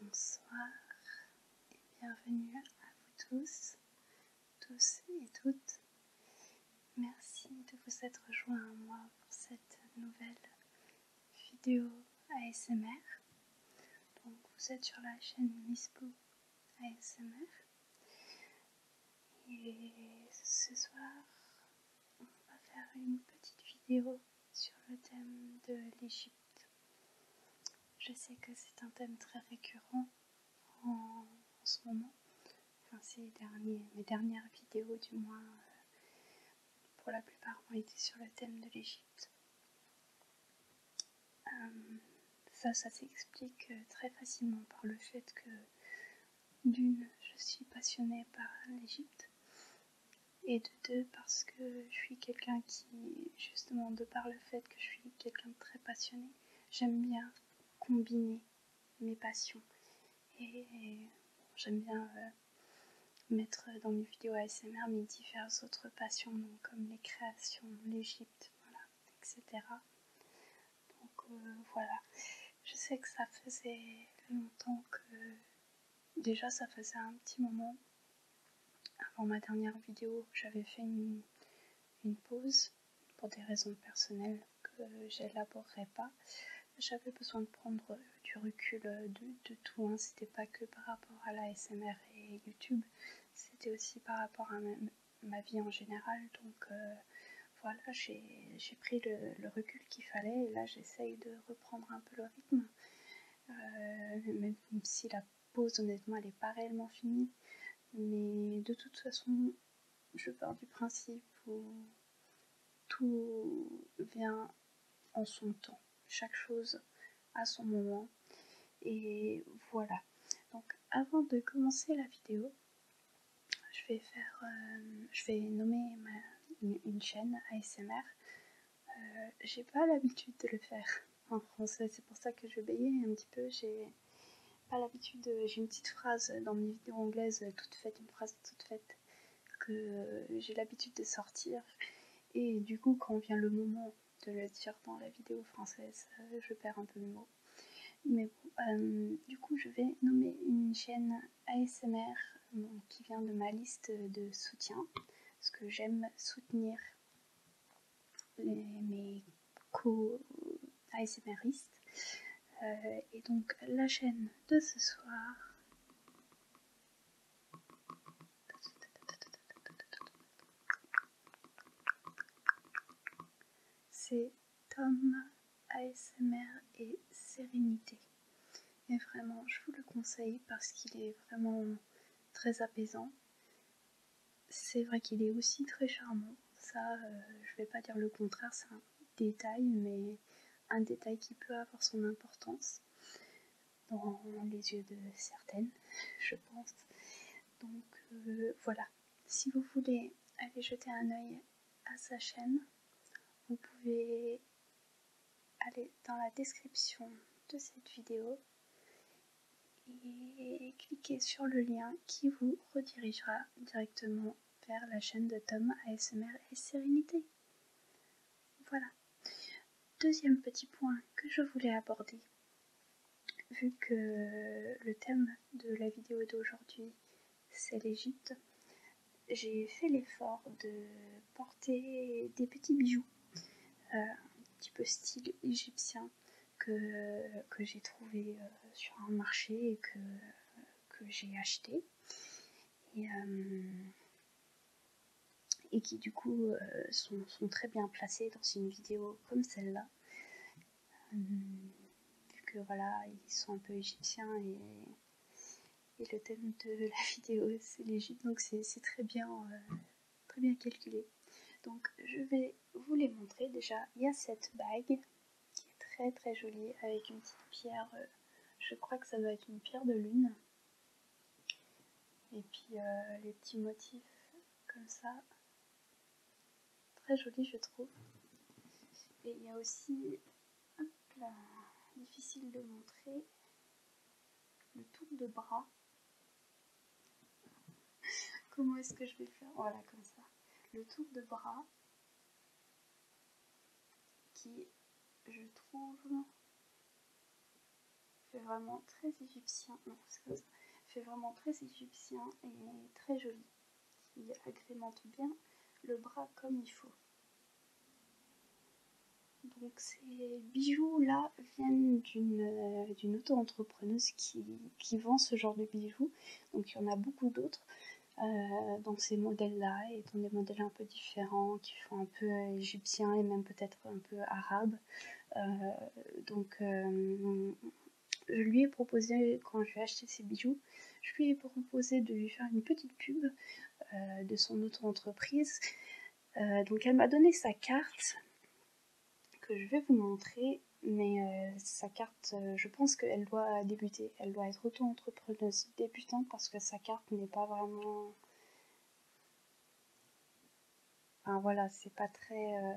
Bonsoir et bienvenue à vous tous, tous et toutes. Merci de vous être joints à moi pour cette nouvelle vidéo ASMR. Donc vous êtes sur la chaîne Nispo ASMR. Et ce soir, on va faire une petite vidéo sur le thème de l'Égypte. Je sais que c'est un thème très récurrent en, ce moment. Enfin, ces derniers, mes dernières vidéos, du moins, euh, pour la plupart, ont été sur le thème de l'Égypte. Euh, ça, ça s'explique euh, très facilement par le fait que, d'une, je suis passionnée par l'Égypte, et de deux, parce que je suis quelqu'un qui, justement, de par le fait que je suis quelqu'un de très passionné, j'aime bien combiner mes passions. Et, j'aime bien euh, mettre dans mes vidéos ASMR mes diverses autres passions, comme les créations, l'Égypte, voilà, etc. Donc euh, voilà, je sais que ça faisait longtemps que déjà ça faisait un petit moment avant ma dernière vidéo, j'avais fait une, pause pour des raisons personnelles que j'élaborerai pas. J'avais besoin de prendre du recul euh, de, tout, hein. c'était pas que par rapport à la SMR et YouTube, c'était aussi par rapport à ma, vie en général. Donc euh, voilà, j'ai pris le, recul qu'il fallait et là j'essaye de reprendre un peu le rythme. Euh, même si la pause honnêtement elle n'est pas réellement finie. Mais de toute façon, je pars du principe où tout vient en son temps chaque chose à son moment. Et voilà. Donc avant de commencer la vidéo, je vais faire, euh, je vais nommer une, chaîne ASMR. Euh, j'ai pas l'habitude de le faire en français, c'est pour ça que je bégayais un petit peu. J'ai pas l'habitude, j'ai une petite phrase dans mes vidéos anglaises toute faite, une phrase toute faite que j'ai l'habitude de sortir. Et du coup, quand vient le moment de le dire dans la vidéo française, euh, je perds un peu le mot Mais euh, du coup, je vais nommer une chaîne ASMR qui vient de ma liste de soutien, parce que j'aime soutenir mes co-ASMRistes. Euh, et donc, la chaîne de ce soir. C'est Tom ASMR et Sérénité. Et vraiment, je vous le conseille parce qu'il est vraiment très apaisant. C'est vrai qu'il est aussi très charmant. Ça, euh, je vais pas dire le contraire, c'est un détail, mais un détail qui peut avoir son importance dans les yeux de certaines, je pense. Donc euh, voilà, si vous voulez aller jeter un œil à sa chaîne, vous pouvez aller dans la description de cette vidéo et cliquer sur le lien qui vous redirigera directement vers la chaîne de Tom ASMR et Sérénité. Voilà. Deuxième petit point que je voulais aborder, vu que le thème de la vidéo d'aujourd'hui c'est l'Égypte, j'ai fait l'effort de porter des petits bijoux, euh, un petit peu style égyptien, que, que j'ai trouvé euh, sur un marché et que, que j'ai acheté. Euh, et qui du coup euh, sont, sont, très bien placés dans une vidéo comme celle-là. Euh, vu que voilà, ils sont un peu égyptiens et, le thème de la vidéo c'est l'Égypte, donc c'est très bien euh, très bien calculé. Donc je vais vous les montrer. Déjà, il y a cette bague qui est très très jolie avec une petite pierre. je crois que ça doit être une pierre de lune. Et puis euh, les petits motifs comme ça. Très joli je trouve. Et il y a aussi, hop là, difficile de montrer, le tour de bras. Comment est-ce que je vais faire Voilà, comme ça. Le tour de bras qui, je trouve, fait vraiment très égyptien, fait vraiment très égyptien et très joli, Il agrémente bien le bras comme il faut. Donc ces bijoux là viennent d'une euh, auto-entrepreneuse qui, vend ce genre de bijoux, donc il y en a beaucoup d'autres. Euh, dans ces modèles-là et dans des modèles un peu différents qui font un peu euh, égyptien et même peut-être un peu arabe. Euh, donc, euh, je lui ai proposé, quand je vais acheter ses bijoux, je lui ai proposé de lui faire une petite pub euh, de son auto-entreprise. donc, elle m'a donné sa carte que je vais vous montrer mais sa carte, je pense qu'elle doit débuter, elle doit être auto-entrepreneuse débutante parce que sa carte n'est pas vraiment Enfin voilà, c'est pas très euh,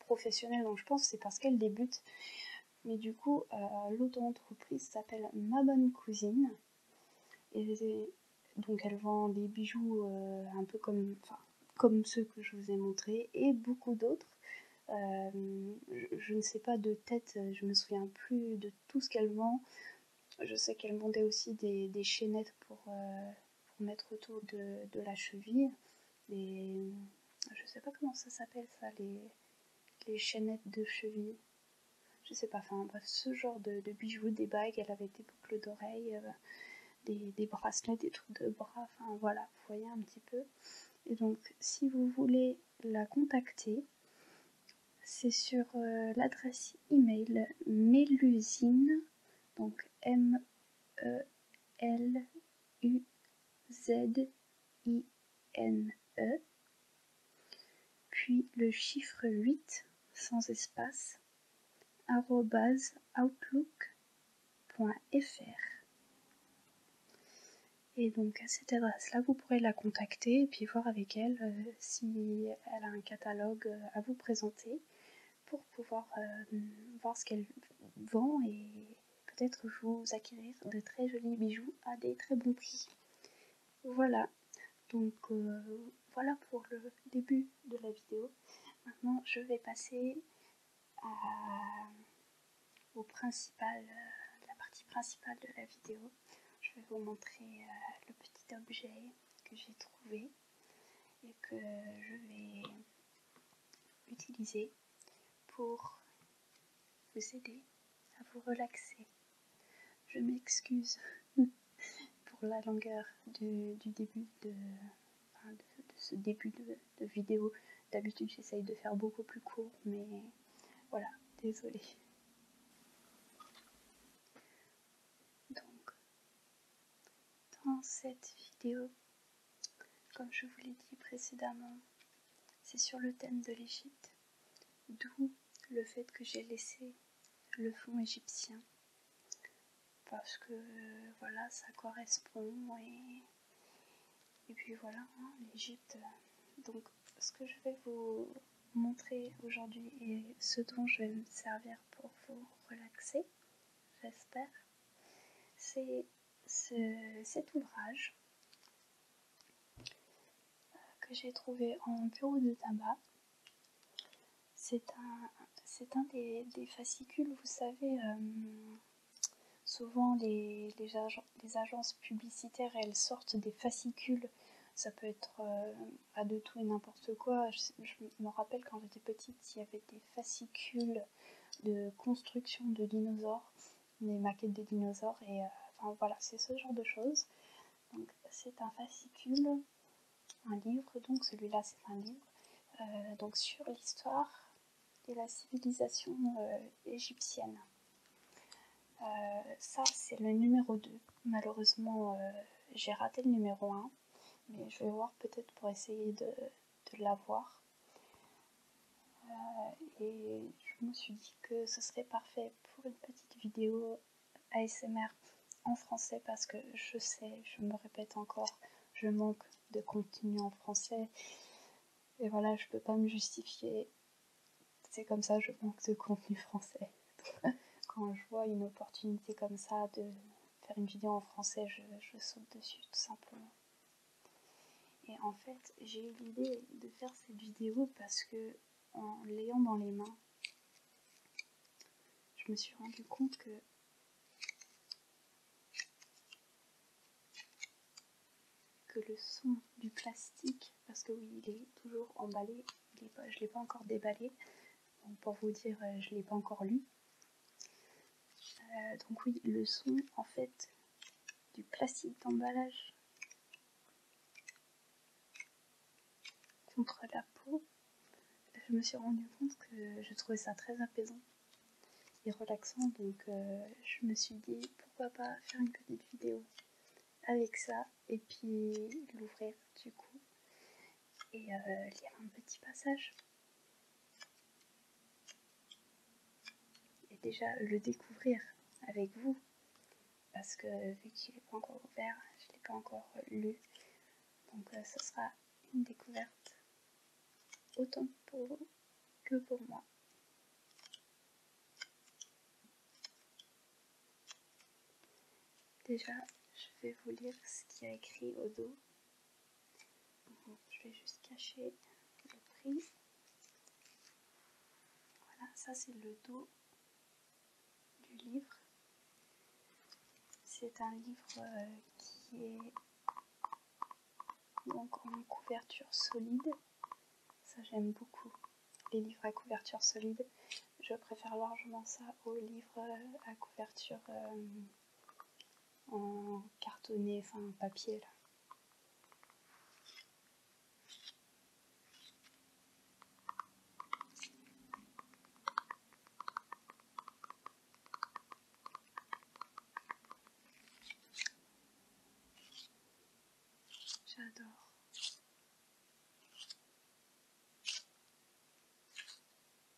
professionnel, donc je pense c'est parce qu'elle débute. Mais du coup, l'autre euh, l'auto-entreprise s'appelle Ma Bonne Cousine. Et donc elle vend des bijoux euh, un peu comme, comme ceux que je vous ai montrés et beaucoup d'autres. je, ne sais pas de tête, je me souviens plus de tout ce qu'elle vend. Je sais qu'elle vendait aussi des, chaînettes pour, pour mettre autour de, la cheville les je sais pas comment ça s'appelle ça les, chaînettes de cheville je sais pas enfin ce genre de, bijoux des bagues elle avait des boucles d'oreilles euh, des, bracelets des trucs de bras enfin voilà vous voyez un petit peu et donc si vous voulez la contacter c'est sur euh, l'adresse email mélusine donc m E L U Z I N E, puis le chiffre 8 sans espace, outlook.fr. Et donc à cette adresse-là, vous pourrez la contacter et puis voir avec elle euh, si elle a un catalogue euh, à vous présenter pour pouvoir euh, voir ce qu'elle vend et peut-être vous acquérir de très jolis bijoux à des très bons prix. Voilà, donc euh, voilà pour le début de la vidéo. Maintenant, je vais passer à, au principal, euh, la partie principale de la vidéo. Je vais vous montrer le petit objet que j'ai trouvé et que je vais utiliser pour vous aider à vous relaxer. Je m'excuse pour la longueur du, début de, ce début de, de vidéo. D'habitude j'essaye de faire beaucoup plus court, mais voilà, désolée. Donc dans cette vidéo, comme je vous l'ai dit précédemment, c'est sur le thème de l'Égypte, d'où le fait que j'ai laissé le fond égyptien, parce que voilà, ça correspond et, puis voilà, l'Egypte hein, l'Égypte. Donc ce que je vais vous montrer aujourd'hui et ce dont je vais me servir pour vous relaxer, j'espère, c'est cet ouvrage euh, que j'ai trouvé en bureau de tabac. C'est un, c'est un des, fascicules, vous savez, euh, souvent les, les, agences publicitaires, elles sortent des fascicules. Ça peut être à euh, de tout et n'importe quoi. Je, je, me rappelle quand j'étais petite, il y avait des fascicule de construction de dinosaures, des maquettes de dinosaures, et euh, enfin voilà, c'est ce genre de choses. Donc c'est un fascicule, un livre, donc celui-là c'est un livre, euh, donc sur l'histoire et la civilisation euh, égyptienne. ça c'est le numéro 2. Malheureusement j'ai raté le numéro 1. Mais je vais voir peut-être pour essayer de, la l'avoir. Euh, et je me suis dit que ce serait parfait pour une petite vidéo ASMR en français parce que je sais, je me répète encore, je manque de contenu en français. Et voilà, je peux pas me justifier. C'est comme ça, je manque de contenu français. Quand je vois une opportunité comme ça de, faire une vidéo en français, je, saute dessus tout simplement. Et en fait, j'ai eu l'idée de faire cette vidéo parce que en l'ayant dans les mains, je me suis rendu compte que que le son du plastique, parce que oui, il est toujours emballé, je ne l'ai pas encore déballé, donc pour vous dire, euh, je ne l'ai pas encore lu, euh, donc oui, le son en fait du plastique d'emballage contre la peau, je me suis rendu compte que je trouvais ça très apaisant et relaxant, donc euh, je me suis dit pourquoi pas faire une petite vidéo avec ça et puis l'ouvrir du coup et euh, lire un petit passage. Et déjà le découvrir avec vous, parce que vu qu'il n'est pas encore ouvert, je ne l'ai pas encore lu, donc euh, ce sera une découverte autant pour vous que pour moi. Déjà, je vais vous lire ce qu'il y a écrit au dos je vais juste cacher le prix. Voilà, ça c'est le dos du livre. C'est un livre euh, qui est donc en couverture solide. Ça j'aime beaucoup. Les livres à couverture solide. Je préfère largement ça aux livres euh, à couverture euh, en cartonné, enfin en papier là. J'adore.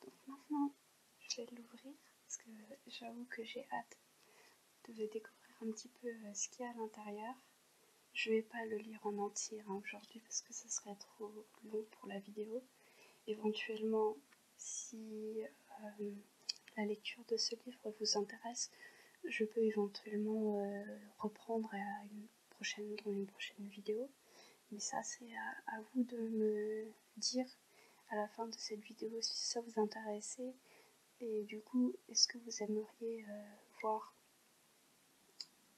Donc maintenant, je vais l'ouvrir parce que j'avoue que j'ai hâte de découvrir un petit peu euh, ce qu'il y a à l'intérieur. Je ne vais pas le lire en entier hein, aujourd'hui parce que ce serait trop long pour la vidéo. Éventuellement, si euh, la lecture de ce livre vous intéresse, je peux éventuellement euh, reprendre à une prochaine, dans une prochaine vidéo. Mais ça, c'est à, vous de me dire à la fin de cette vidéo si ça vous intéressait. Et du coup, est-ce que vous aimeriez euh, voir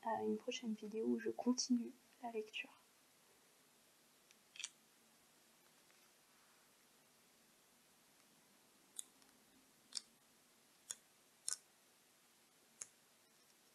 euh, une prochaine vidéo où je continue la lecture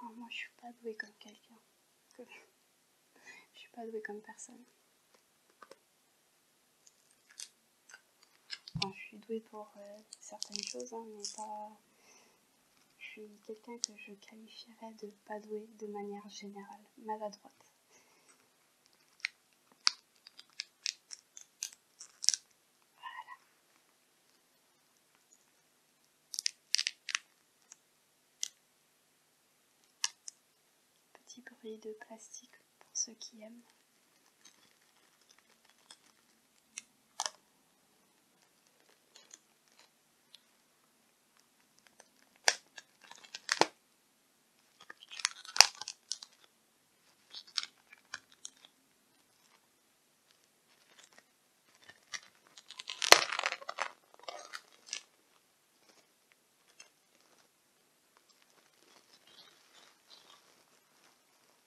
Oh, moi je suis pas douée comme quelqu'un. je suis pas douée comme personne. je suis douée pour euh, certaines choses, hein, mais pas. Je suis quelqu'un que je qualifierais de pas douée de manière générale, maladroite. Voilà. Petit bruit de plastique pour ceux qui aiment.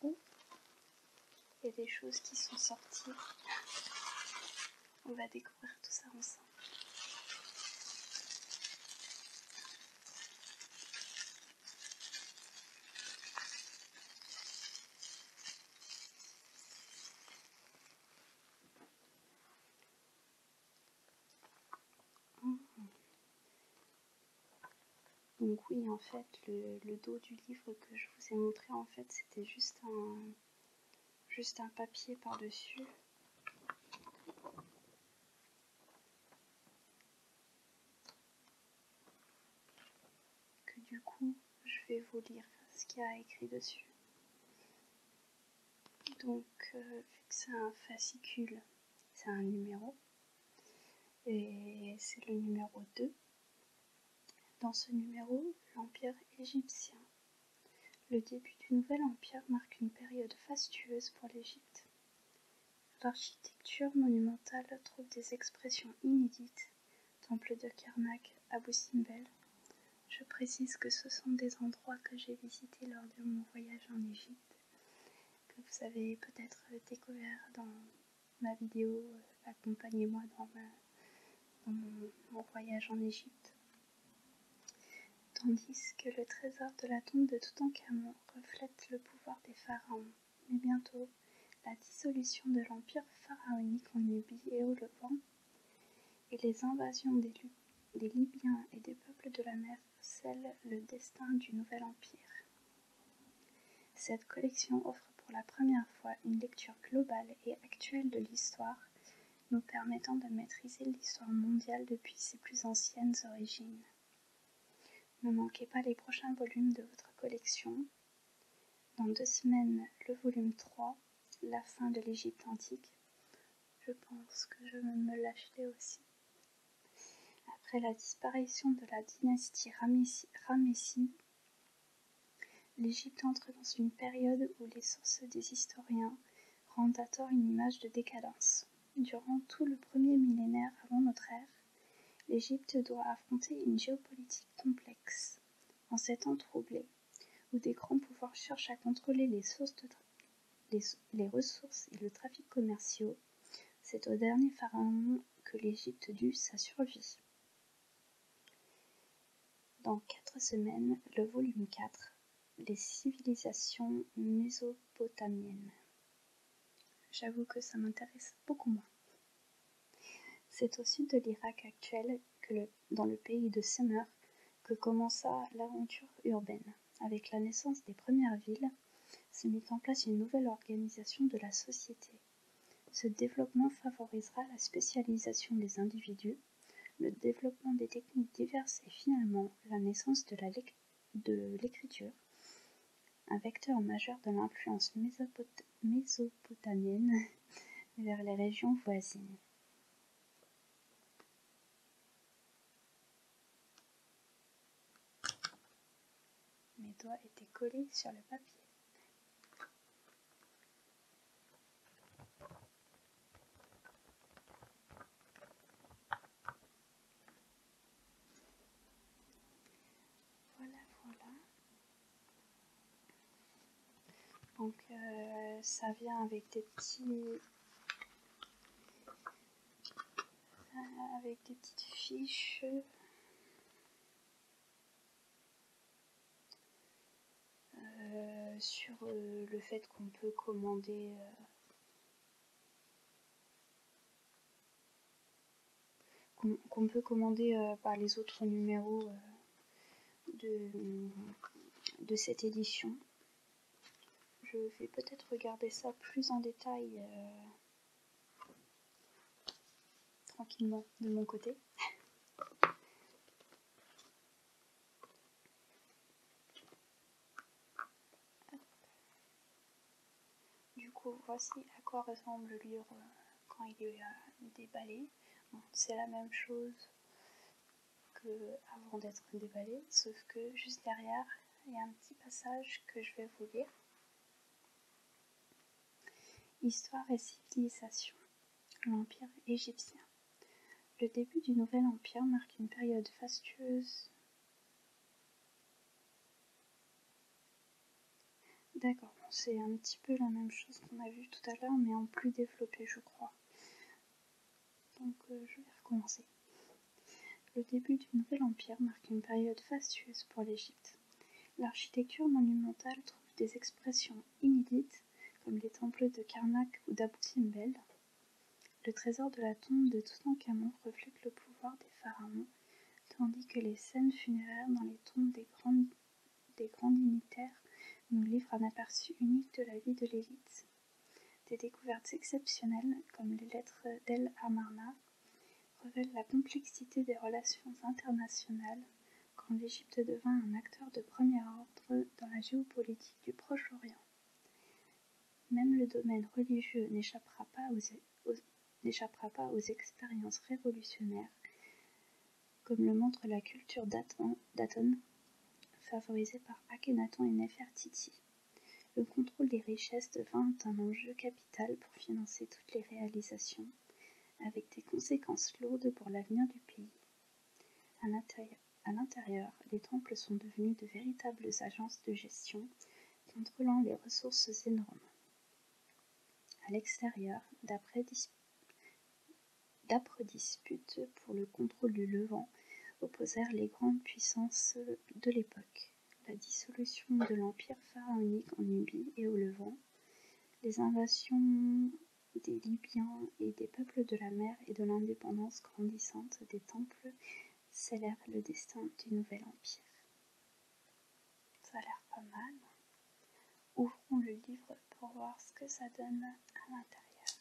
Il y a des choses qui sont sorties. On va découvrir tout ça ensemble. Mmh. Donc oui, en fait, le, dos du livre que je vous ai montré, en fait, c'était juste juste un papier par-dessus que du coup je vais vous lire ce qu'il y a écrit dessus. Donc euh, vu que c'est un fascicule, c'est un numéro et c'est le numéro 2. Dans ce numéro, l'Empire égyptien. Le début du nouvel empire marque une période fastueuse pour l'Égypte. L'architecture monumentale trouve des expressions inédites temple de Karnak, abou Simbel. Je précise que ce sont des endroits que j'ai visités lors de mon voyage en Égypte, que vous avez peut-être découvert dans ma vidéo euh, Accompagnez-moi dans, mon, voyage en Égypte. Tandis que le trésor de la tombe de Toutankhamon reflète le pouvoir des pharaons. Mais bientôt, la dissolution de l'empire pharaonique en Nubie et au Levant, et les invasions des Libyens et des peuples de la mer scellent le destin du nouvel empire. Cette collection offre pour la première fois une lecture globale et actuelle de l'histoire, nous permettant de maîtriser l'histoire mondiale depuis ses plus anciennes origines. Ne manquez pas les prochains volumes de votre collection dans deux semaines, le volume 3, La fin de l'Égypte antique. Je pense que je me l'acheter aussi. Après la disparition de la dynastie Ramessie, l'Égypte entre dans une période où les sources des historiens rendent à tort une image de décadence. Durant tout le premier millénaire avant notre ère, l'Égypte doit affronter une géopolitique complexe, en ces temps troublés, où des grands pouvoirs cherchent à contrôler les, ressources et le trafic commerciaux, c'est au dernier pharaon que l'Égypte dut sa survie. Dans quatre semaines, le volume 4, Les civilisations mésopotamiennes. J'avoue que ça m'intéresse beaucoup moins. C'est au sud de l'Irak actuel, dans le pays de Semer, que commença l'aventure urbaine. Avec la naissance des premières villes, se mit en place une nouvelle organisation de la société. Ce développement favorisera la spécialisation des individus, le développement des techniques diverses et finalement la naissance de l'écriture, un vecteur majeur de l'influence mésopotamienne mésopotamienne vers les régions voisines. Mes doigts étaient collés sur le papier. Voilà, voilà. Donc euh, ça vient avec des petits euh, avec des petites fiches. Euh, sur le fait qu'on peut commander qu'on peut commander euh, par les autres numéros euh, de, de cette édition. Je vais peut-être regarder ça plus en détail euh, tranquillement de mon côté. Du coup, voici à quoi ressemble le livre quand il est euh, déballé. c'est la même chose qu'avant d'être déballé, sauf que juste derrière, il y a un petit passage que je vais vous lire. Histoire et civilisation. L'Empire égyptien. Le début du Nouvel Empire marque une période fastueuse D'accord, c'est un petit peu la même chose qu'on a vu tout à l'heure, mais en plus développé, je crois. Donc, euh, je vais recommencer. Le début du Nouvel Empire marque une période fastueuse pour l'Égypte. L'architecture monumentale trouve des expressions inédites, comme les temples de Karnak ou d'Abou Simbel. Le trésor de la tombe de Toutankhamon reflète le pouvoir des pharaons, tandis que les scènes funéraires dans les tombes des grandes des grands dignitaires nous livrent un aperçu unique de la vie de l'élite. Des découvertes exceptionnelles, comme les lettres d'El Amarna, révèlent la complexité des relations internationales quand l'Égypte devint un acteur de premier ordre dans la géopolitique du Proche-Orient. Même le domaine religieux n'échappera pas aux e-, expériences révolutionnaires comme le montre la culture d'Aton, favorisée par Akhenaton et Nefertiti, Le contrôle des richesses devint un enjeu capital pour financer toutes les réalisations, avec des conséquences lourdes pour l'avenir du pays. À l'intérieur, les temples sont devenus de véritables agences de gestion, contrôlant les ressources énormes. À l'extérieur, d'après D'âpres disputes pour le contrôle du Levant opposèrent les grandes puissances de l'époque. La dissolution de l'empire pharaonique en Nubie et au Levant, les invasions des Libyens et des peuples de la mer et de l'indépendance grandissante des temples scellèrent le destin du nouvel empire. Ça a l'air pas mal. Ouvrons le livre pour voir ce que ça donne à l'intérieur.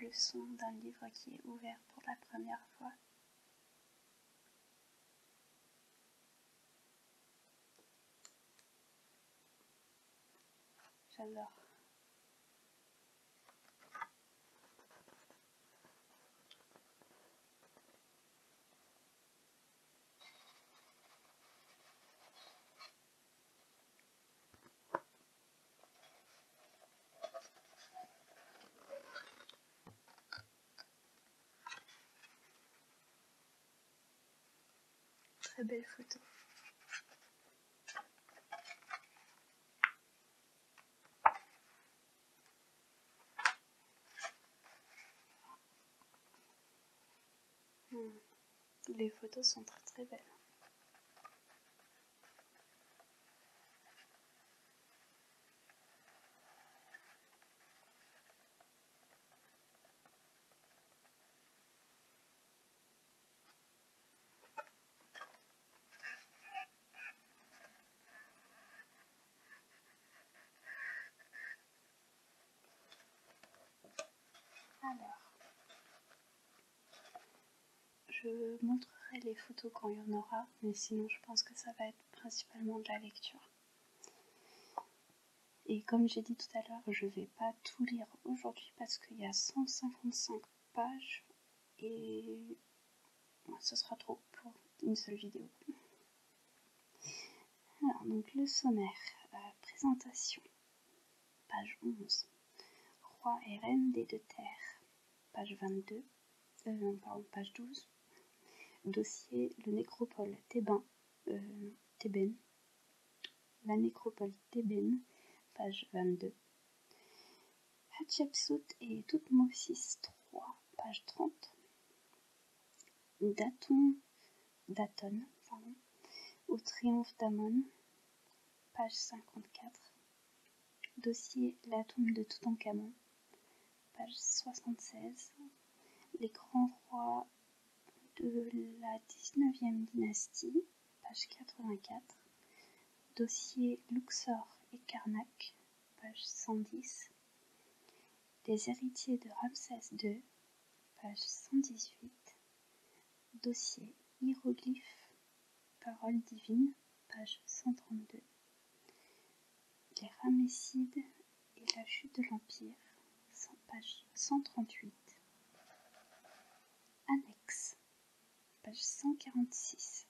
Le son d'un livre qui est ouvert pour la première fois. J'adore. Très belle photo. Hmm. Les photos sont très très belles. Alors, je montrerai les photos quand il y en aura, mais sinon je pense que ça va être principalement de la lecture. Et comme j'ai dit tout à l'heure, je ne vais pas tout lire aujourd'hui parce qu'il y a 155 pages et ce sera trop pour une seule vidéo. Alors, donc le sommaire, euh, présentation, page 11, Roi et Reine des deux terres, page 22, euh, page 12, dossier Le Nécropole Thébain, euh, La Nécropole Thébène, page 22, Hatshepsut et Toutmosis 3, page 30, Daton, au triomphe d'Amon, page 54. Dossier La tombe de Toutankhamon, page 76. Les grands rois de la 19e dynastie, page 84. Dossier Luxor et Karnak, page 110. Des héritiers de Ramsès II, page 118. Dossier hiéroglyphe Parole divine, page 132. Les Ramessides et la chute de l'Empire, page 138. Annexe, page 146.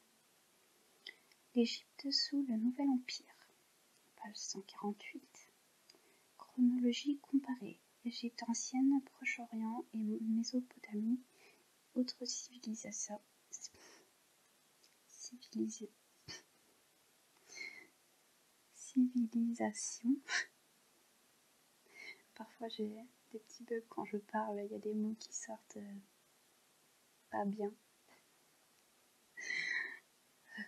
L'Égypte sous le Nouvel Empire, Page 148. Chronologie comparée. Égypte ancienne, Proche-Orient et Mésopotamie. Autres civilisations. Civilisation. Civilisation. Parfois j'ai des petits bugs quand je parle, il y a des mots qui sortent euh, pas bien.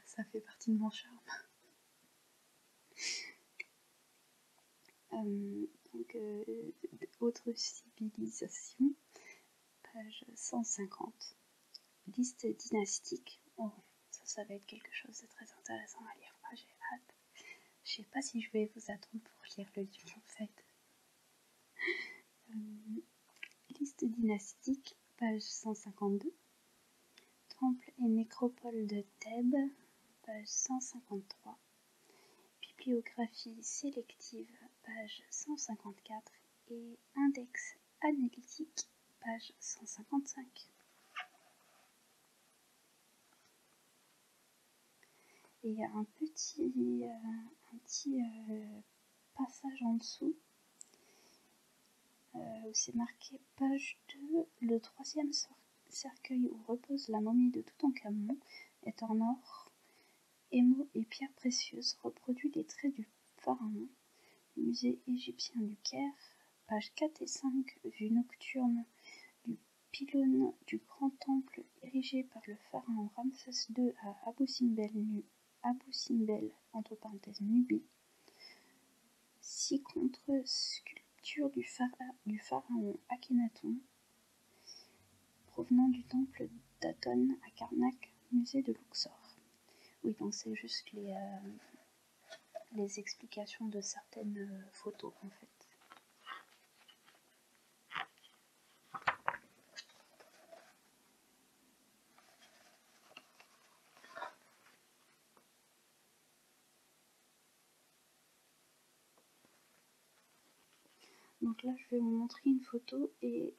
Ça fait partie de mon charme. Euh, euh, autre civilisation, page 150. Liste dynastique. Oh, ça, ça va être quelque chose de très intéressant à lire. Ah, j'ai hâte. Je sais pas si je vais vous attendre pour lire le livre en fait. Euh, Liste dynastique, page 152. Temple et nécropole de Thèbes, page 153. Bibliographie sélective, page 154. Et index analytique, page 155. Et il y a un petit, euh, euh, passage en dessous euh, c'est marqué page 2, le troisième cercueil où repose la momie de Toutankhamon est en or, émaux et pierres précieuses reproduit les traits du pharaon, musée égyptien du Caire, page 4 et 5, vue nocturne du pylône du grand temple érigé par le pharaon Ramsès II à Abou Simbel Abou Simbel, entre parenthèses Nubie, six contre-sculptures du, pharaon Akhenaton, provenant du temple d'Aton à Karnak, musée de Luxor. Oui, donc c'est juste les, euh, explications de certaines euh, photos en fait. Donc là, je vais vous montrer une photo et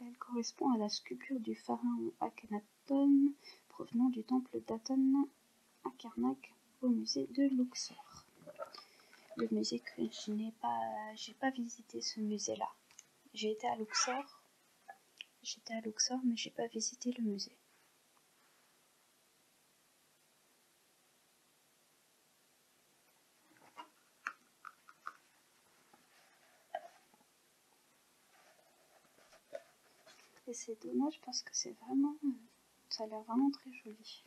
elle correspond à la sculpture du pharaon Akhenaton provenant du temple d'Aton à Karnak au musée de Luxor. Le musée que je n'ai pas, j'ai pas visité ce musée là. J'ai été à Luxor J'étais à Luxor, mais j'ai pas visité le musée. Et c'est dommage parce que c'est vraiment. Ça a l'air vraiment très joli.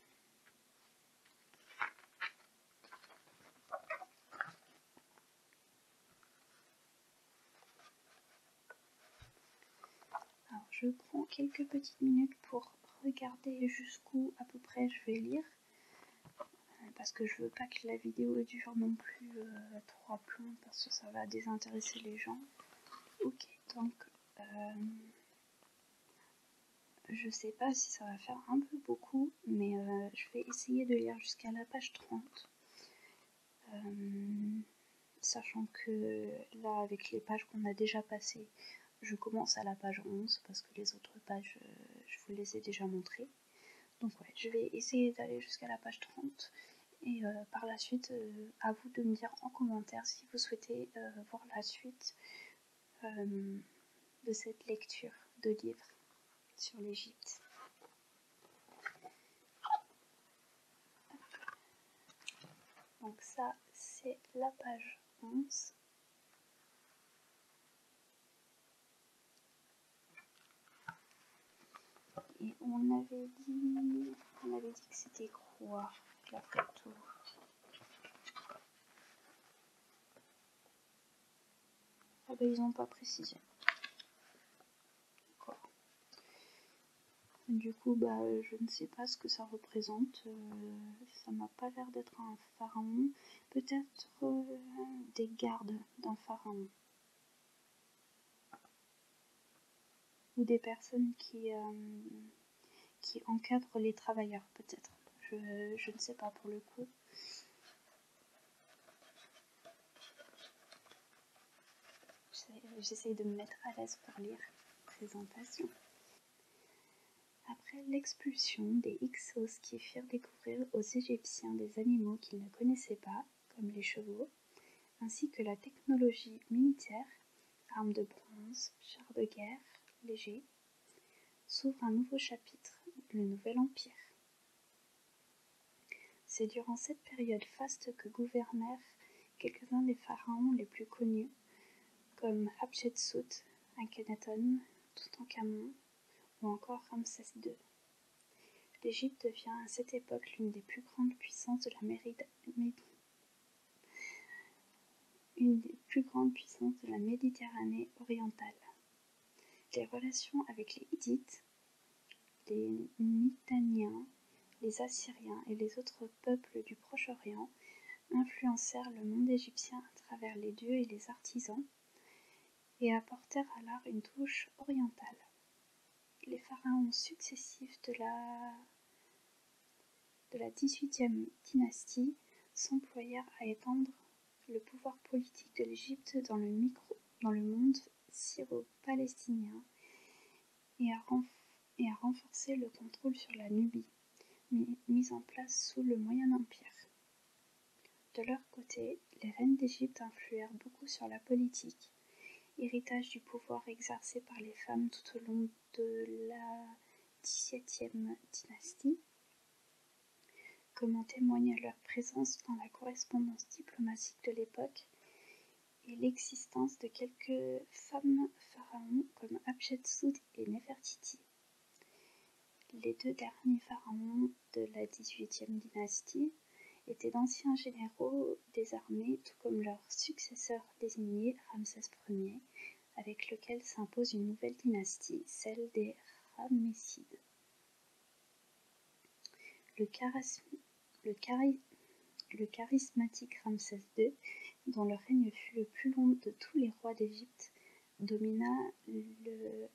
Alors je prends quelques petites minutes pour regarder jusqu'où à peu près je vais lire. Euh, parce que je veux pas que la vidéo dure non plus euh, trois plans parce que ça va désintéresser les gens. Ok, donc euh, je ne sais pas si ça va faire un peu beaucoup, mais je vais essayer de lire jusqu'à la page 30. Euh, sachant que là, avec les pages qu'on a déjà passées, je commence à la page 11 parce que les autres pages, euh, je vous les ai déjà montrées. Donc ouais, je vais essayer d'aller jusqu'à la page 30. Et euh, par la suite, à vous de me dire en commentaire si vous souhaitez voir la suite de cette lecture de livre sur l'Égypte. Donc ça, c'est la page 11. Et on avait dit, on avait dit que c'était quoi la photo Ah ben ils n'ont pas précisé. Du coup, bah, je ne sais pas ce que ça représente. Euh, ça m'a pas l'air d'être un pharaon. Peut-être euh, des gardes d'un pharaon. Ou des personnes qui, euh, encadrent les travailleurs, peut-être. je ne sais pas pour le coup. J'essaye de me mettre à l'aise pour lire présentation. Après l'expulsion des Hyksos qui firent découvrir aux Égyptiens des animaux qu'ils ne connaissaient pas, comme les chevaux, ainsi que la technologie militaire, armes de bronze, chars de guerre, légers, s'ouvre un nouveau chapitre, le Nouvel Empire. C'est durant cette période faste que gouvernèrent quelques-uns des pharaons les plus connus, comme Hatshepsut, Akhenaton, Toutankhamon ou encore Ramsès II. L'Égypte devient à cette époque l'une des plus grandes puissances de la des plus grandes puissances de la Méditerranée orientale. Les relations avec les Hiddites, les Mitanniens, les Assyriens et les autres peuples du Proche-Orient influencèrent le monde égyptien à travers les dieux et les artisans et apportèrent à l'art une touche orientale. Les pharaons successifs de la de la 18 dynastie s'employèrent à étendre le pouvoir politique de l'Égypte dans, dans le monde syro-palestinien et à, renforcer le contrôle sur la Nubie, mise en place sous le Moyen Empire. De leur côté, les reines d'Égypte influèrent beaucoup sur la politique, héritage du pouvoir exercé par les femmes tout au long de la 17e dynastie comme en témoigne leur présence dans la correspondance diplomatique de l'époque et l'existence de quelques femmes pharaons comme Abchetsoud et Néfertiti. Les deux derniers pharaons de la 18e dynastie étaient d'anciens généraux des armées, tout comme leur successeur désigné Ramsès Ier, avec lequel s'impose une nouvelle dynastie, celle des Ramessides. Le, charismatique Ramsès II, dont le règne fut le plus long de tous les rois d'Égypte, domina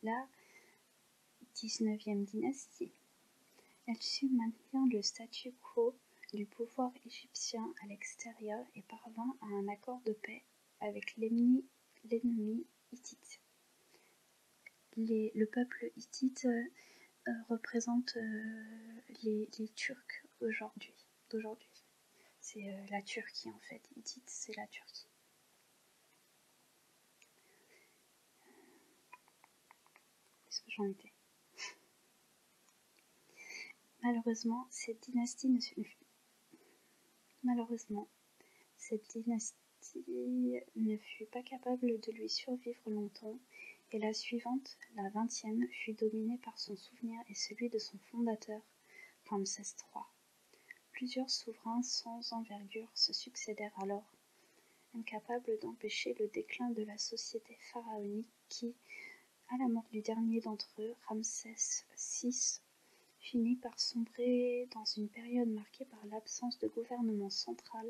la dix-neuvième dynastie. Elle su maintenir le statu quo du pouvoir égyptien à l'extérieur et parvint à un accord de paix avec l'ennemi le peuple hittite euh, euh, représente euh, les, Turcs aujourd'hui. D'aujourd'hui. C'est la Turquie en fait. Hittite, c'est la Turquie. Est-ce que j'en étais Malheureusement, cette dynastie ne Malheureusement, cette dynastie ne fut pas capable de lui survivre longtemps, et la suivante, la vingtième, fut dominée par son souvenir et celui de son fondateur, Ramsès III. Plusieurs souverains sans envergure se succédèrent alors, incapables d'empêcher le déclin de la société pharaonique qui, à la mort du dernier d'entre eux, Ramsès VI, finit par sombrer dans une période marquée par l'absence de gouvernement central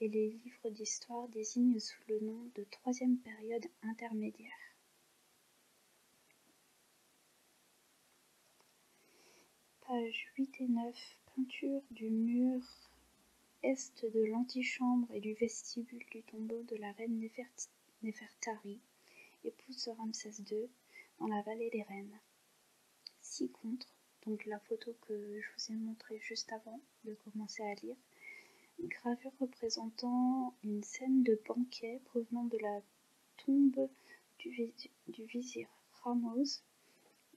et les livres d'histoire désignent sous le nom de troisième période intermédiaire. Page 8 et 9 Peinture du mur est de l'antichambre et du vestibule du tombeau de la reine Nefertari, épouse de Ramsès II, dans la vallée des reines six contre. Donc la photo que je vous ai montrée juste avant de commencer à lire. gravure représentant une scène de banquet provenant de la tombe du, vizir Ramos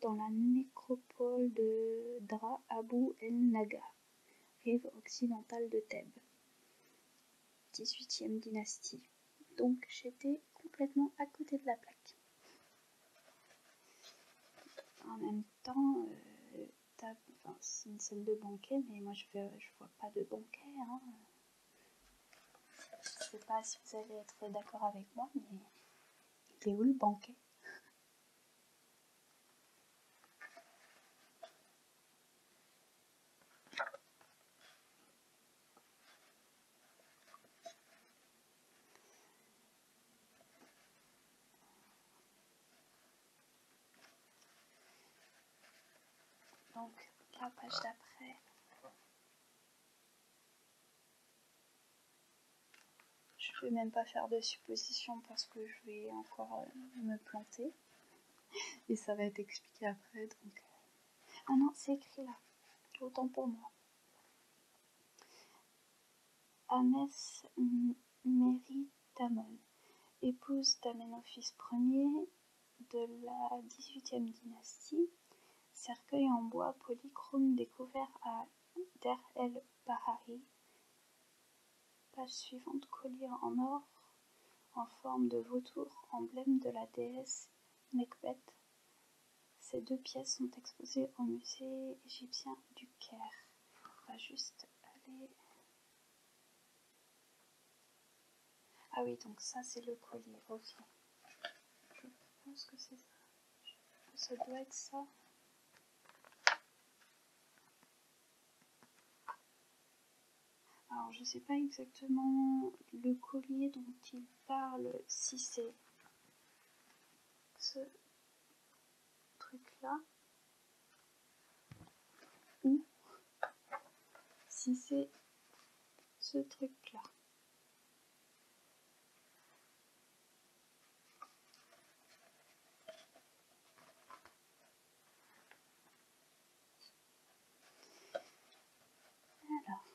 dans la nécropole de Dra Abu El Naga, rive occidentale de Thèbes. 18e dynastie. Donc j'étais complètement à côté de la plaque. En même temps, euh, c'est une salle de banquet, mais moi je je vois pas de banquet. Hein. Je sais pas si vous allez être d'accord avec moi, mais il est où le banquet donc, la page ah. d'après. Je ne vais même pas faire de supposition parce que je vais encore euh, me planter. Et ça va être expliqué après. Donc... Euh. Ah non, c'est écrit là. Autant pour moi. Amès Meritamon, épouse d'Amenophis Ier de la XVIIIe dynastie, cercueil en bois polychrome découvert à Der El Bahari. Page suivante, collier en or en forme de vautour, emblème de la déesse Nekhbet, ces deux pièces sont exposées au musée égyptien du Caire. On va juste aller. Ah oui, donc ça c'est le collier. Je pense que c'est ça. Ça doit être ça. Alors je ne sais pas exactement le collier dont il parle, si c'est ce truc là ou si c'est ce truc là. Alors,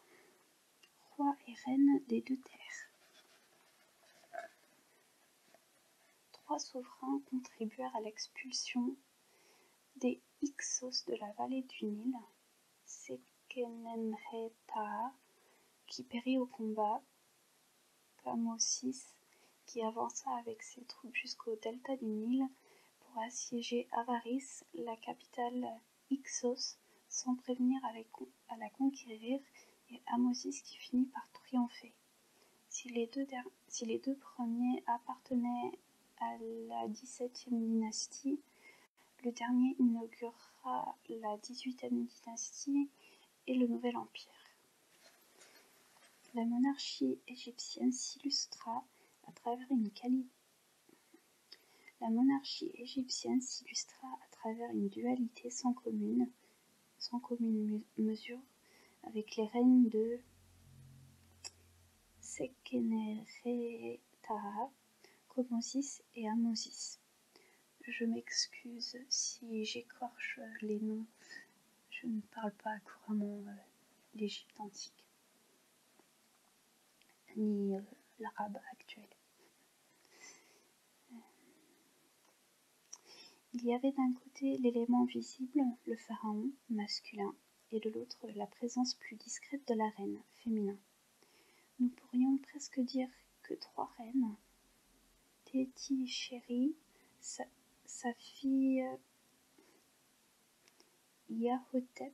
roi et reine des deux terres. Trois souverains contribuèrent à l'expulsion des Hyksos de la vallée du Nil, Sekenenretaha qui périt au combat, Pamosis qui avança avec ses troupes jusqu'au delta du Nil pour assiéger Avaris, la capitale Ixos, sans prévenir à la, conquérir et Amosis qui finit par triompher. Si les deux, premiers appartenaient à la 17 dynastie, le dernier inaugurera la 18 dynastie et le nouvel empire. La monarchie égyptienne s'illustra à travers une, la monarchie égyptienne s'illustra à travers une dualité sans commune, sans commune mesure avec les règnes de Sekenenre-Taharqa, Komosis et Amosis. Je m'excuse si j'écorche les noms, je ne parle pas couramment euh, l'Égypte antique, ni euh, l'arabe actuel. Il y avait d'un côté l'élément visible, le pharaon, masculin, et de l'autre la présence plus discrète de la reine, féminin. Nous pourrions presque dire que trois reines, Téti Chéri, sa, fille Yahutep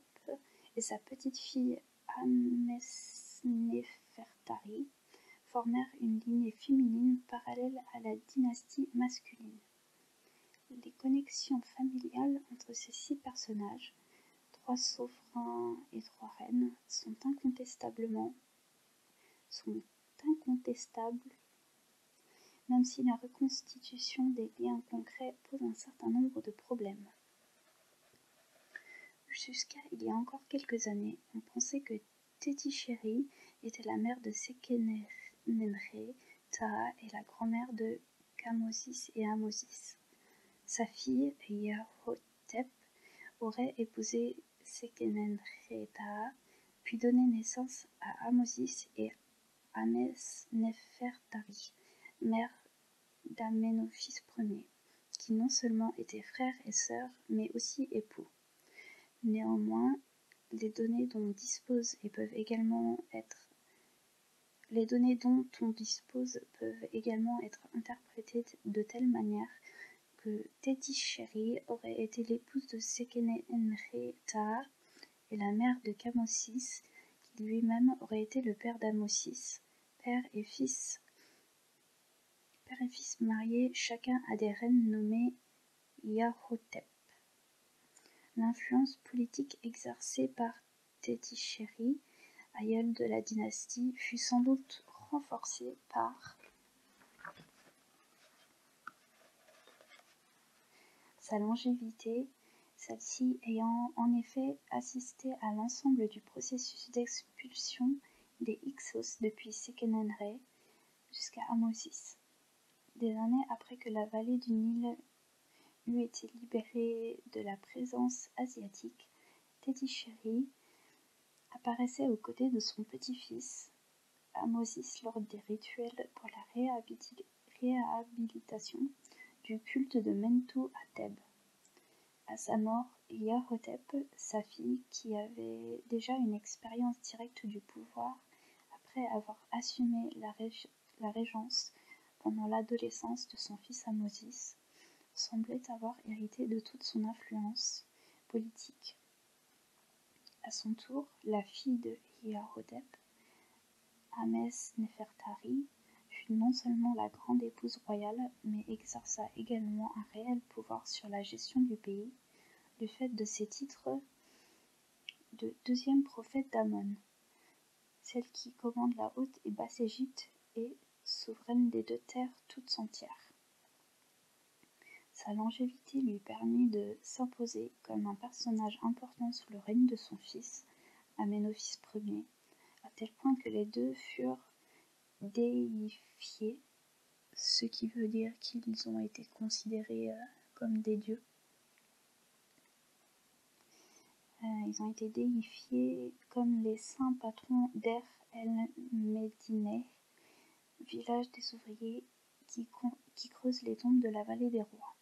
et sa petite fille Amesnefertari, formèrent une lignée féminine parallèle à la dynastie masculine. Les connexions familiales entre ces six personnages, trois souverains et trois reines, sont incontestablement sont incontestables, même si la reconstitution des liens concrets pose un certain nombre de problèmes. Jusqu'à il y a encore quelques années, on pensait que Tétichéri était la mère de Sekenenre, Taha et la grand-mère de Kamosis et Amosis. Sa fille, Yahotep, aurait épousé Sekenenre puis donné naissance à Amosis et Ames Nefertari, mère d'Amenophis Ier qui non seulement étaient frères et sœurs, mais aussi époux. Néanmoins, les données dont on dispose peuvent également être les données dont on dispose peuvent également être interprétées de telle manière que Tetisheri aurait été l'épouse de Sekene et la mère de Kamosis, qui lui-même aurait été le père d'Amosis, père et fils Père et fils mariés, chacun a des reines nommées Yarhotep. L'influence politique exercée par Tétichéri, aïeul de la dynastie, fut sans doute renforcée par sa longévité, celle-ci ayant en effet assisté à l'ensemble du processus d'expulsion des Hyksos depuis Sekenenre jusqu'à Amosis. Des années après que la vallée du Nil eut été libérée de la présence asiatique, Tétichéri apparaissait aux côtés de son petit-fils Amosis lors des rituels pour la réhabilitation du culte de Mentou à Thèbes. À sa mort, Imhotep, sa fille, qui avait déjà une expérience directe du pouvoir après avoir assumé la, régence pendant l'adolescence de son fils Amosis, semblait avoir hérité de toute son influence politique. À son tour, la fille de Hiarhotep, Ames Nefertari, fut non seulement la grande épouse royale mais exerça également un réel pouvoir sur la gestion du pays, du fait de ses titres de deuxième prophète d'Amon, celle qui commande la Haute et Basse Égypte et souveraine des deux terres toutes entières. Sa longévité lui permit de s'imposer comme un personnage important sous le règne de son fils, Amenophis Ier, à tel point que les deux furent déifiés, ce qui veut dire qu'ils ont été considérés euh, comme des dieux. Euh, ils ont été déifiés comme les saints patrons d'Er El Medineh, village des ouvriers qui, qui creusent les tombes de la vallée des rois.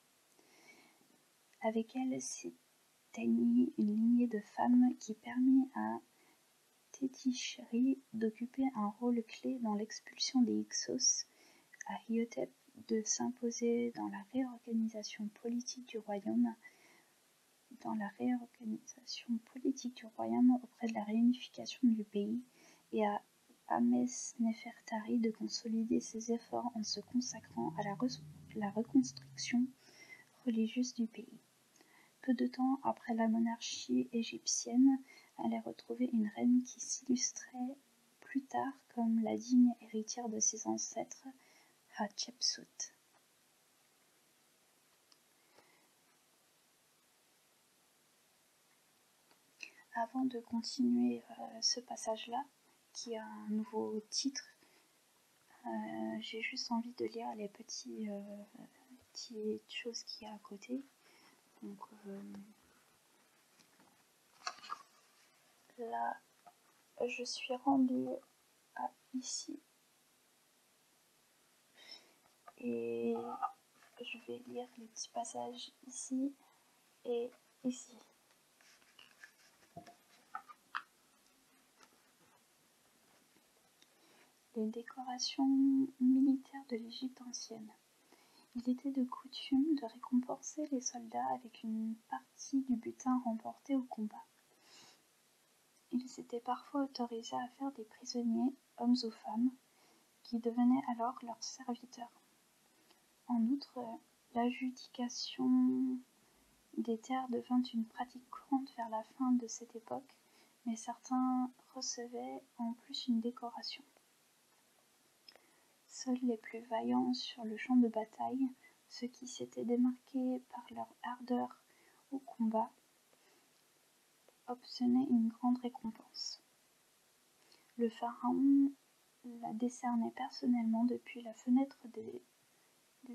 Avec elle s'éteignit une lignée de femmes qui permit à Tétichri d'occuper un rôle clé dans l'expulsion des Hyksos à Hyotep, de s'imposer dans la réorganisation politique du royaume dans la réorganisation politique du royaume auprès de la réunification du pays et à Amès Nefertari de consolider ses efforts en se consacrant à la reconstruction religieuse du pays. Peu de temps après la monarchie égyptienne elle est retrouvée une reine qui s'illustrait plus tard comme la digne héritière de ses ancêtres, Hatshepsut. Avant de continuer euh, ce passage-là, qui a un nouveau titre euh, j'ai juste envie de lire les petits, euh, petites choses qu'il y a à côté. Donc euh, là, je suis rendue à ici. Et je vais lire les petits passages ici et ici. Les décorations militaires de l'Égypte ancienne. Il était de coutume de récompenser les soldats avec une partie du butin remporté au combat. Ils étaient parfois autorisés à faire des prisonniers, hommes ou femmes, qui devenaient alors leurs serviteurs. En outre, l'adjudication des terres devint une pratique courante vers la fin de cette époque, mais certains recevaient en plus une décoration. Seuls les plus vaillants sur le champ de bataille, ceux qui s'étaient démarqués par leur ardeur au combat, obtenaient une grande récompense. Le pharaon la décernait personnellement depuis la fenêtre des,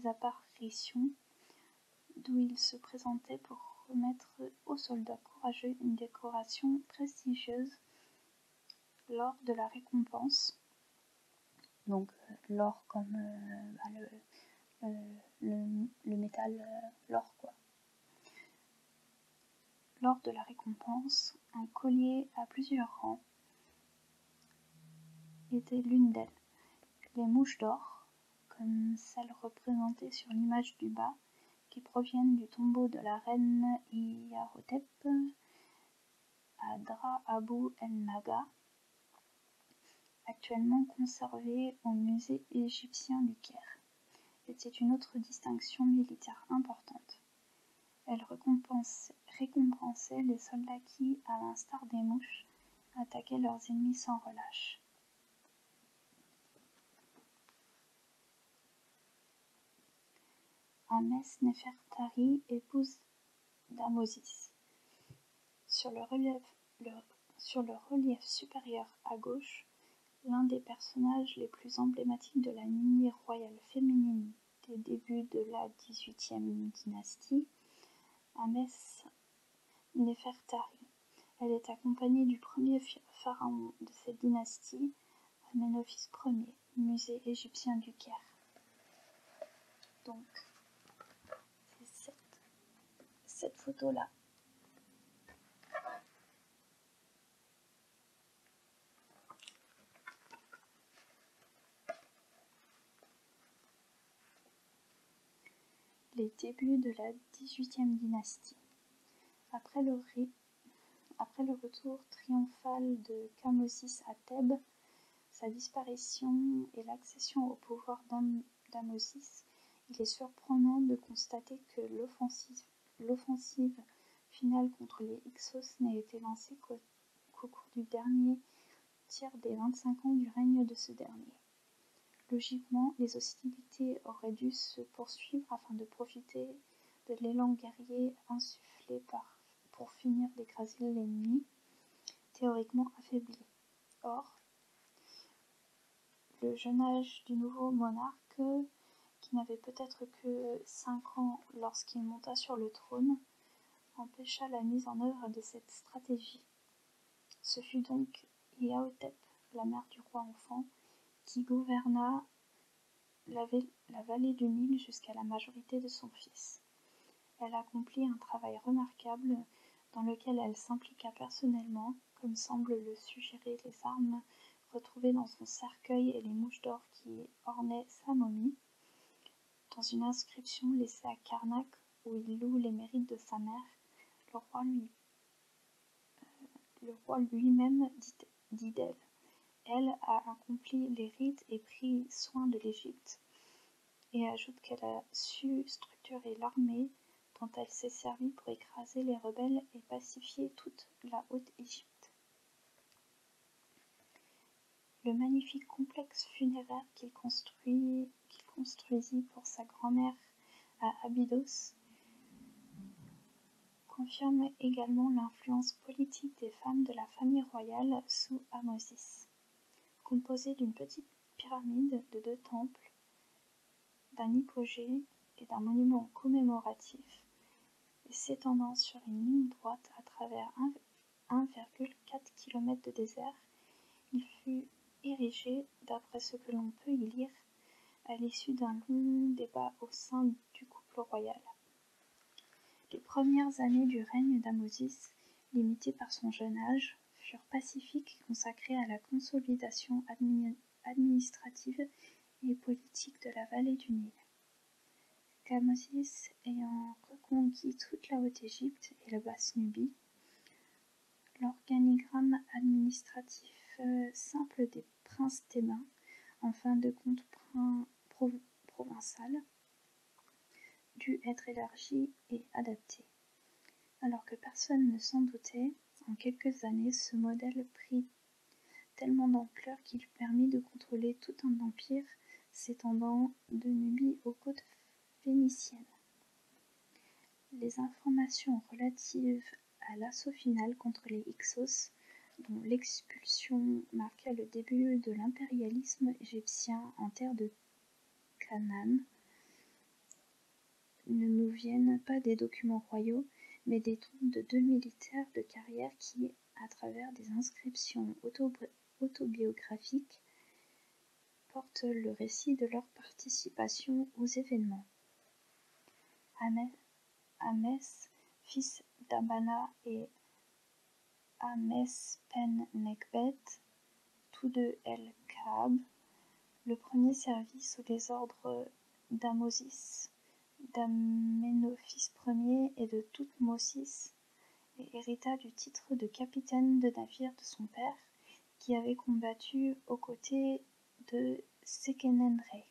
apparitions d'où il se présentait pour remettre aux soldats courageux une décoration prestigieuse lors de la récompense. Donc euh, l'or comme euh, bah, le, métal, euh, l'or quoi. Lors de la récompense, un collier à plusieurs rangs était l'une d'elles. Les mouches d'or, comme celles représentées sur l'image du bas, qui proviennent du tombeau de la reine Iarotep à Dra Abu el-Naga, actuellement conservée au musée égyptien du Caire. était une autre distinction militaire importante. Elle récompensait les soldats qui, à l'instar des mouches, attaquaient leurs ennemis sans relâche. Amès Nefertari, épouse Damosis. Sur le relief, supérieur à gauche, l'un des personnages les plus emblématiques de la lignée royale féminine des débuts de la 18e dynastie, Amès Nefertari. Elle est accompagnée du premier pharaon de cette dynastie, Amenophis Ier, musée égyptien du Caire. Donc, c'est cette photo-là. Les débuts de la XVIIIe dynastie. Après le, retour triomphal de Kamosis à Thèbes, sa disparition et l'accession au pouvoir d'Amosis, il est surprenant de constater que l'offensive finale contre les Hyksos n'a été lancée qu'au cours du dernier tiers des vingt-cinq ans du règne de ce dernier. Logiquement, les hostilités auraient dû se poursuivre afin de profiter de l'élan guerrier insufflé par, pour finir d'écraser l'ennemi théoriquement affaibli. Or, le jeune âge du nouveau monarque, qui n'avait peut-être que cinq ans lorsqu'il monta sur le trône, empêcha la mise en œuvre de cette stratégie. Ce fut donc Iaotep, la mère du roi enfant, qui gouverna la vallée du Nil jusqu'à la majorité de son fils. Elle accomplit un travail remarquable dans lequel elle s'impliqua personnellement, comme semblent le suggérer les armes retrouvées dans son cercueil et les mouches d'or qui ornaient sa momie. Dans une inscription laissée à Karnak où il loue les mérites de sa mère, le roi lui euh, même dit d'elle. Elle a accompli les rites et pris soin de l'Égypte, et ajoute qu'elle a su structurer l'armée dont elle s'est servie pour écraser les rebelles et pacifier toute la Haute-Égypte. Le magnifique complexe funéraire qu'il construit qu'il construisit pour sa grand-mère à Abydos confirme également l'influence politique des femmes de la famille royale sous Amosis. Composé d'une petite pyramide de deux temples, d'un hypogée et d'un monument commémoratif, et s'étendant sur une ligne droite à travers 1,4 km de désert, il fut érigé d'après ce que l'on peut y lire, à l'issue d'un long débat au sein du couple royal. Les premières années du règne d'Amosis, limitées par son jeune âge, furent pacifiques et consacrées à la consolidation administrative et politique de la vallée du Nil. Kamosis ayant reconquis toute la Haute-Égypte et la Basse-Nubie, L'organigramme administratif euh, simple des princes thébains, en fin de compte provincial, dut être élargi et adapté. Alors que personne ne s'en doutait, en quelques années, ce modèle prit tellement d'ampleur qu'il permit de contrôler tout un empire s'étendant de Nubie aux côtes les informations relatives à l'assaut final contre les Hyksos, dont l'expulsion marqua le début de l'impérialisme égyptien en terre de Canaan, ne nous viennent pas des documents royaux, mais des tombes de deux militaires de carrière qui, à travers des inscriptions autobiographiques, portent le récit de leur participation aux événements. Amès, fils d'Amana et amès pen tous deux El-Kaab, le premier servit sous les ordres d'Amosis, d'Amenophis Ier et de Toutmosis, et hérita du titre de capitaine de navire de son père, qui avait combattu aux côtés de rei.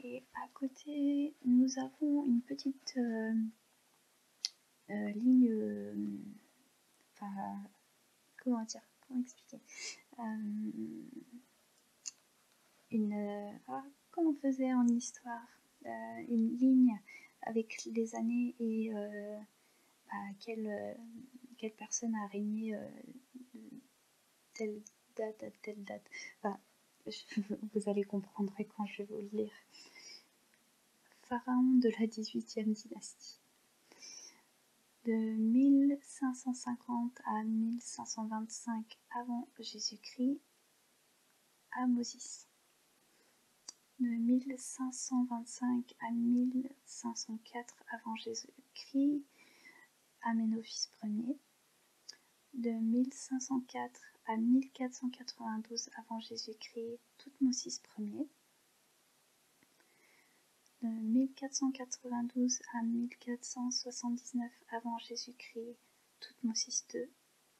Et à côté, nous avons une petite euh, euh, ligne. Euh, enfin, comment dire Comment expliquer Une. Ah, comment on faisait en histoire euh, une ligne avec les années et euh, bah, quelle, euh, quelle, personne a régné telle date à telle date. vous allez comprendre quand je vais vous le lire. Pharaon de la 18e dynastie. De 1550 à 1525 avant Jésus-Christ, Amosis de 1525 à 1504 avant Jésus-Christ, Amenophis Ier, de 1504 à 1492 avant Jésus-Christ, Toutmosis Ier, de 1492 à 1479 avant Jésus-Christ, Toutmosis II,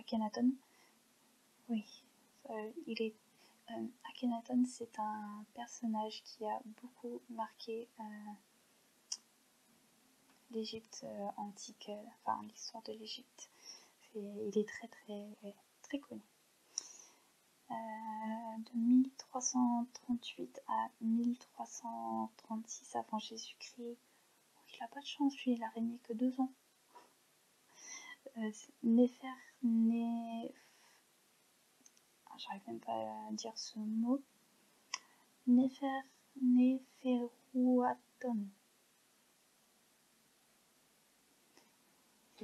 Akhenaton. Oui, euh, il est. Euh, Akhenaton, c'est un personnage qui a beaucoup marqué euh, l'Égypte antique, enfin l'histoire de l'Égypte. Il est très très très connu. de 1338 à 1336 avant Jésus-Christ, oh, il n'a pas de chance, lui, il a régné que deux ans. Euh, ah, j'arrive même pas à dire ce mot. Néfer... C'est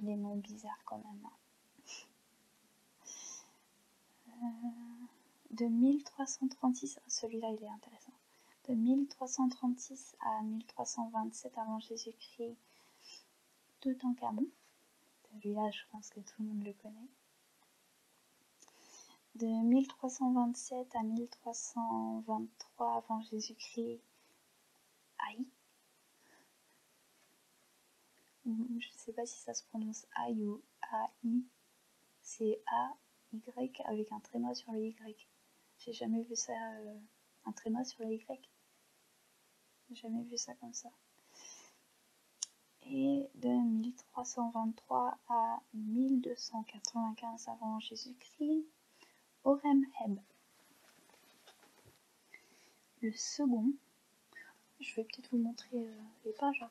des noms bizarres quand même. Hein. Euh, de 1336, ah, celui-là il est intéressant de 1336 à 1327 avant Jésus-Christ, Toutankhamon. Celui-là, je pense que tout le monde le connaît. De 1327 à 1323 avant Jésus-Christ, Aïe. Je ne sais pas si ça se prononce Ai ou Ai, C'est A y avec un tréma sur le Y. J'ai jamais vu ça, euh, un tréma sur le Y. Jamais vu ça comme ça. Et de 1323 à 1295 avant Jésus-Christ, Orem-Heb, Le second, je vais peut-être vous montrer euh, les pages. Hein.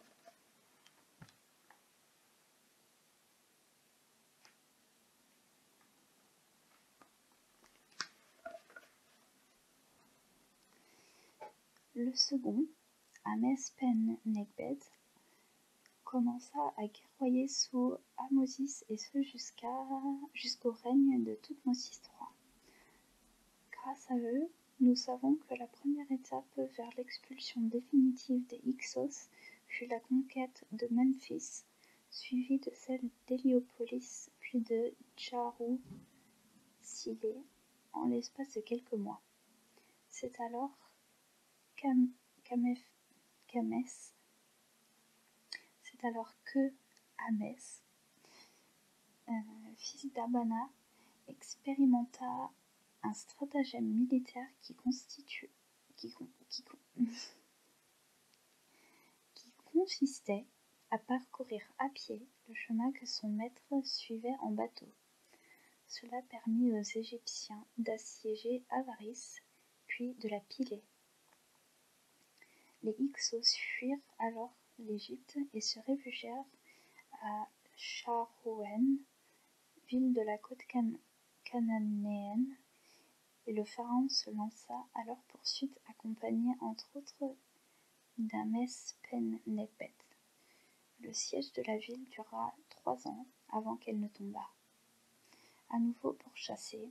Le second, Amès Pen Negbed, commença à guerroyer sous Amosis et ce jusqu'au règne de Tutmosis III. Grâce à eux, nous savons que la première étape vers l'expulsion définitive des Hyksos fut la conquête de Memphis suivi de celle d'Héliopolis puis de Tcharou-Silé en l'espace de quelques mois. C'est alors que Hamès, euh, fils d'Abana, expérimenta un stratagème militaire qui constitue qui, consistait à parcourir à pied le chemin que son maître suivait en bateau. Cela permit aux Égyptiens d'assiéger Avaris, puis de la piler. Les Hyksos fuirent alors l'Égypte et se réfugièrent à Charouen, ville de la côte cana et le pharaon se lança à leur poursuite accompagné entre autres d'Amespennepet. Le siège de la ville dura trois ans avant qu'elle ne tombât. À nouveau pourchassés,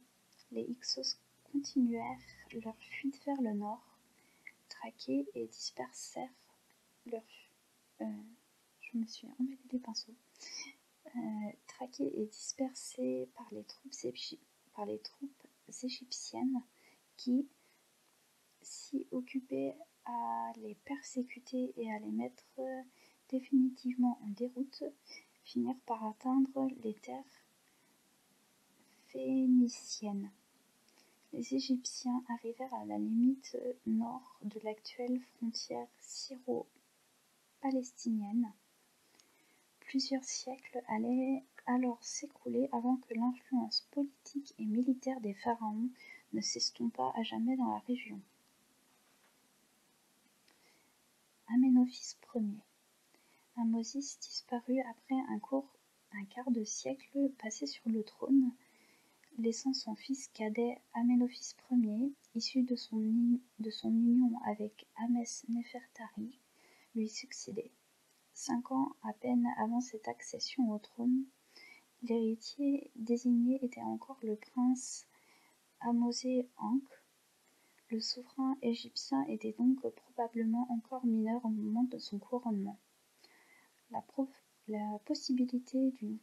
les Hyksos continuèrent leur fuite vers le nord, traqués et dispersèrent leur, euh, je me suis emmêlé des pinceaux, euh, et dispersé par les troupes, égyptiennes qui, si occupaient à les persécuter et à les mettre euh, définitivement en déroute, finirent par atteindre les terres phéniciennes. Les Égyptiens arrivèrent à la limite nord de l'actuelle frontière syro palestinienne. Plusieurs siècles allaient alors s'écouler avant que l'influence politique et militaire des pharaons ne s'estompât à jamais dans la région. Amenophis Ier. Amosis disparut après un, un quart de siècle passé sur le trône, laissant son fils cadet Amenophis Ier, issu de son, union avec Amès Nefertari, lui succédait. Cinq ans à peine avant cette accession au trône, l'héritier désigné était encore le prince Amosé Ankh. Le souverain égyptien était donc probablement encore mineur au moment de son couronnement. La, la possibilité d'une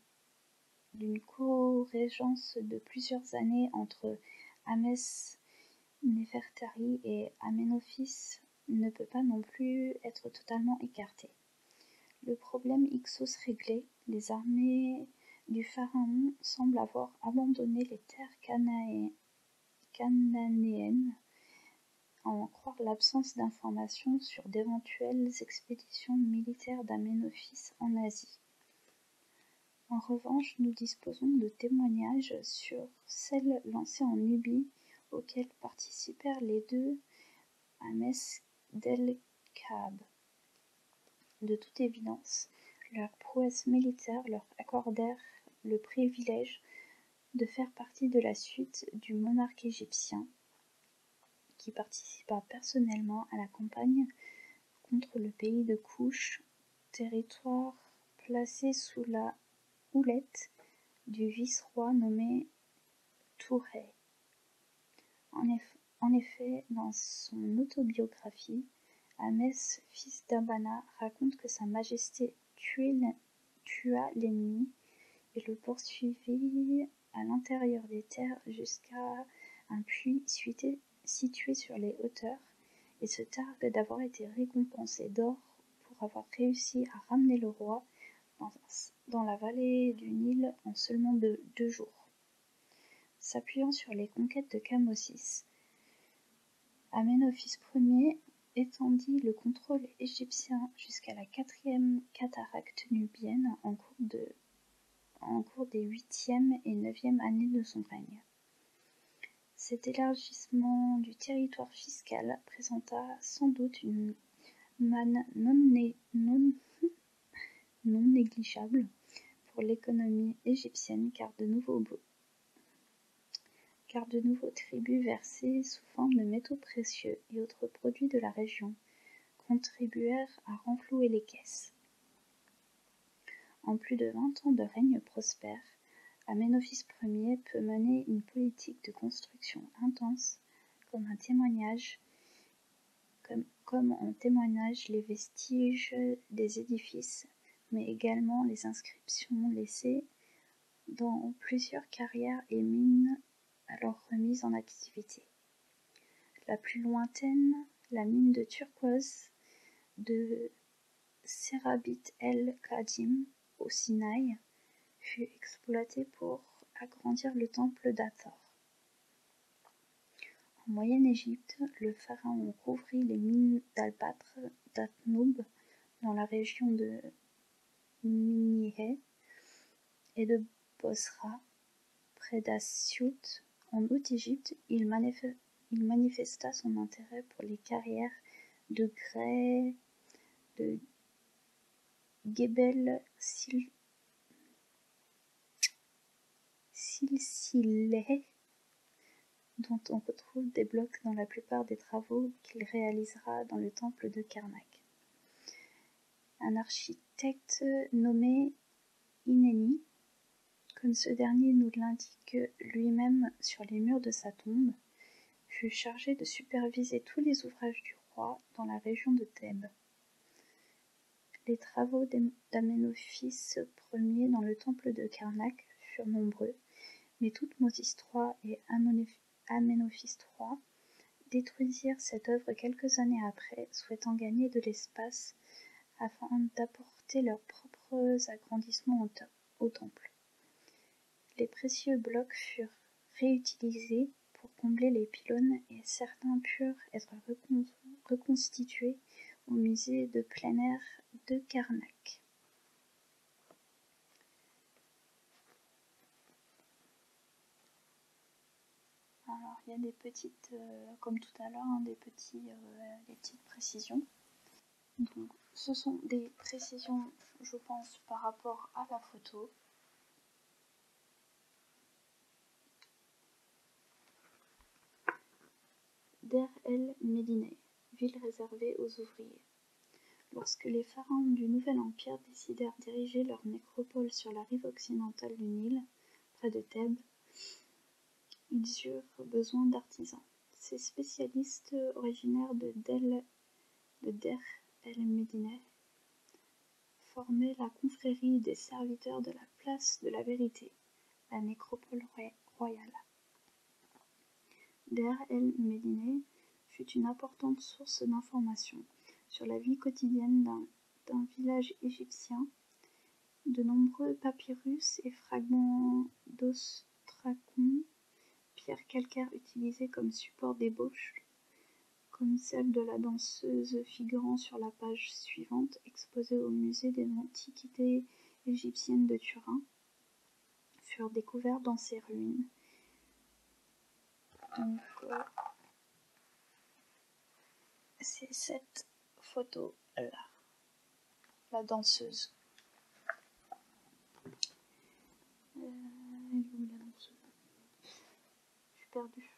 d'une co-régence de plusieurs années entre Amès-Néfertari et Amenophis ne peut pas non plus être totalement écartée. Le problème Ixos réglé, les armées du pharaon semblent avoir abandonné les terres cananéennes, à en croire l'absence d'informations sur d'éventuelles expéditions militaires d'Amenophis en Asie. En revanche, nous disposons de témoignages sur celles lancées en Nubie, auxquelles participèrent les deux à De toute évidence, leurs prouesses militaires leur accordèrent le privilège de faire partie de la suite du monarque égyptien, qui participa personnellement à la campagne contre le pays de Couches, territoire placé sous la houlette du vice-roi nommé Tourret. En, effet, dans son autobiographie, Amès, fils d'Abana, raconte que Sa Majesté tua l'ennemi et le poursuivit à l'intérieur des terres jusqu'à un puits situé, situé sur les hauteurs et se targue d'avoir été récompensé d'or pour avoir réussi à ramener le roi dans, la vallée du Nil en seulement deux, jours. S'appuyant sur les conquêtes de Camossis, Amenophis Ier étendit le contrôle égyptien jusqu'à la quatrième cataracte nubienne en cours de en cours des huitième et neuvième années de son règne. Cet élargissement du territoire fiscal présenta sans doute une manne non, négligeable pour l'économie égyptienne car de nouveaux car de nouveaux tribus versés sous forme de métaux précieux et autres produits de la région contribuèrent à renflouer les caisses. En plus de vingt ans de règne prospère, Amenophis Ier peut mener une politique de construction intense, comme en témoignage, témoignage les vestiges des édifices, mais également les inscriptions laissées dans plusieurs carrières et mines alors remises en activité. La plus lointaine, la mine de turquoise de Serabit el kadim au Sinaï, fut exploitée pour agrandir le temple d'Athor. En Moyenne-Égypte, le pharaon couvrit les mines d'albâtre d'Atnub dans la région de Minihé et de Bosra Près d'Assiout, en Haute-Égypte, il manifesta son intérêt pour les carrières de Grès, de Gebel Silsileh, dont on retrouve des blocs dans la plupart des travaux qu'il réalisera dans le temple de Karnak. Un architecte nommé Inénie, comme ce dernier nous l'indique lui-même sur les murs de sa tombe, fut chargé de superviser tous les ouvrages du roi dans la région de Thèbes. Les travaux d'Amenophis Ier dans le temple de Karnak furent nombreux, mais toutes Moses III et Amenophis III détruisirent cette œuvre quelques années après, souhaitant gagner de l'espace afin d'apporter leurs propres agrandissements au temple. Les précieux blocs furent réutilisés pour combler les pylônes et certains purent être reconstitués au musée de plein air de Karnak. Alors il y a des petites, euh, comme tout à l'heure, hein, euh, des petites précisions. Donc ce sont des précisions, je pense, par rapport à la photo. Der El médineh ville réservée aux ouvriers. Lorsque les pharaons du Nouvel Empire décidèrent d'ériger leur nécropole sur la rive occidentale du Nil, près de Thèbes, ils eurent besoin d'artisans, ces spécialistes originaires de Der el Medineh, formaient la confrérie des serviteurs de la place de la Vérité, la nécropole royale. Der el Medineh fut une importante source d'informations sur la vie quotidienne d'un d'un village égyptien. De nombreux papyrus et fragments d'ostracon, pierres calcaires utilisées comme support d'ébauche, comme celle de la danseuse figurant sur la page suivante exposée au musée des antiquités égyptiennes de Turin, furent découverts dans ces ruines. Euh, c'est cette photo là, la danseuse. Euh, Je suis perdue.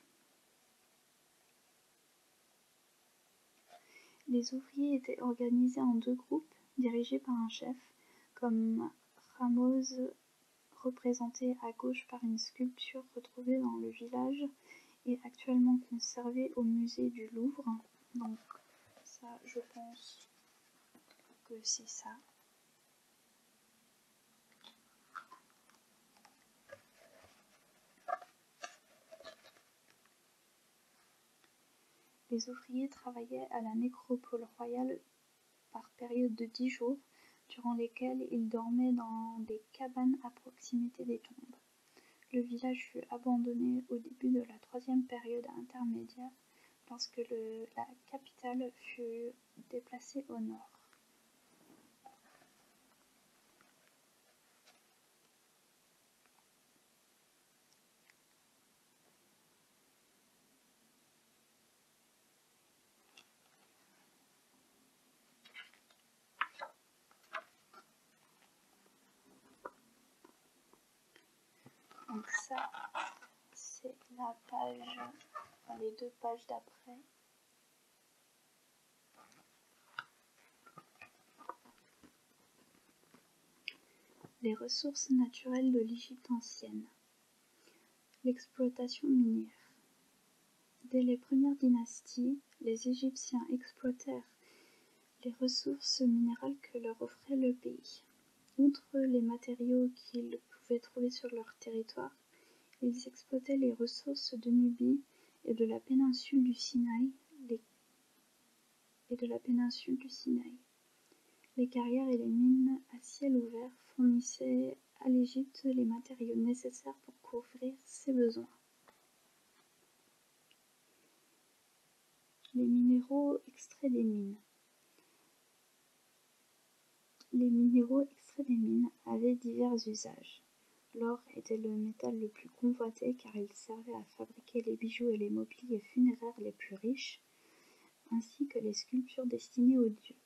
Les ouvriers étaient organisés en deux groupes, dirigés par un chef, comme Ramos représenté à gauche par une sculpture retrouvée dans le village est actuellement conservé au musée du Louvre. Donc ça, je pense que c'est ça. Les ouvriers travaillaient à la nécropole royale par période de 10 jours, durant lesquelles ils dormaient dans des cabanes à proximité des tombes. Le village fut abandonné au début de la troisième période intermédiaire lorsque la capitale fut déplacée au nord. Donc ça, c'est la page, les deux pages d'après. Les ressources naturelles de l'Égypte ancienne. L'exploitation minière. Dès les premières dynasties, les Égyptiens exploitèrent les ressources minérales que leur offrait le pays. Outre les matériaux qu'ils pouvaient trouver sur leur territoire, ils exploitaient les ressources de Nubie et de la péninsule du Sinaï, les, et de la péninsule du Sinaï. Les carrières et les mines à ciel ouvert fournissaient à l'Égypte les matériaux nécessaires pour couvrir ses besoins. Les minéraux extraits des mines. Les minéraux extraits des mines avaient divers usages. L'or était le métal le plus convoité car il servait à fabriquer les bijoux et les mobiliers funéraires les plus riches, ainsi que les sculptures destinées aux dieux.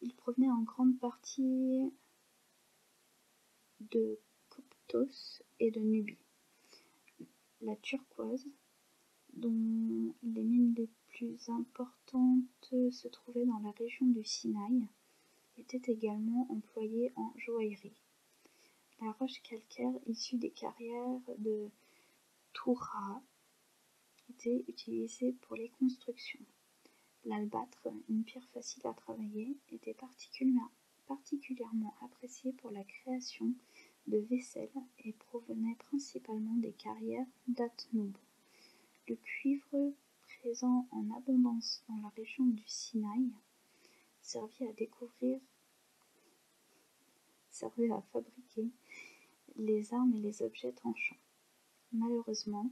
Il provenait en grande partie de Coptos et de Nubie. La turquoise, dont les mines les plus importantes se trouvaient dans la région du Sinaï, était également employée en joaillerie. La roche calcaire issue des carrières de Toura était utilisée pour les constructions. L'albâtre, une pierre facile à travailler, était particulièrement particulièrement apprécié pour la création de vaisselle et provenait principalement des carrières d'athnum Le cuivre, présent en abondance dans la région du Sinaï, servit à découvrir à fabriquer les armes et les objets tranchants. Malheureusement,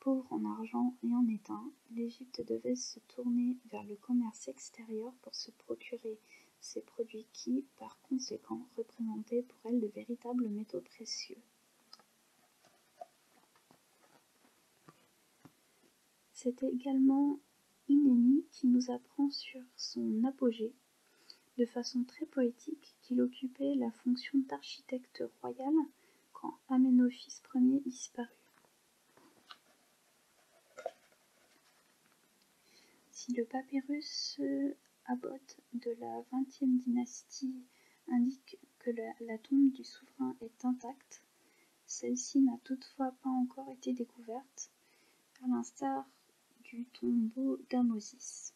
Pauvre en argent et en étain, l'Égypte devait se tourner vers le commerce extérieur pour se procurer ces produits qui, par conséquent, représentaient pour elle de véritables métaux précieux. C'est également Inénie qui nous apprend sur son apogée, de façon très poétique, qu'il occupait la fonction d'architecte royal quand Aménophis Ier disparut. Si le papyrus euh, Abbot de la XXe dynastie indique que la, tombe du souverain est intacte, celle-ci n'a toutefois pas encore été découverte, à l'instar du tombeau d'Amosis.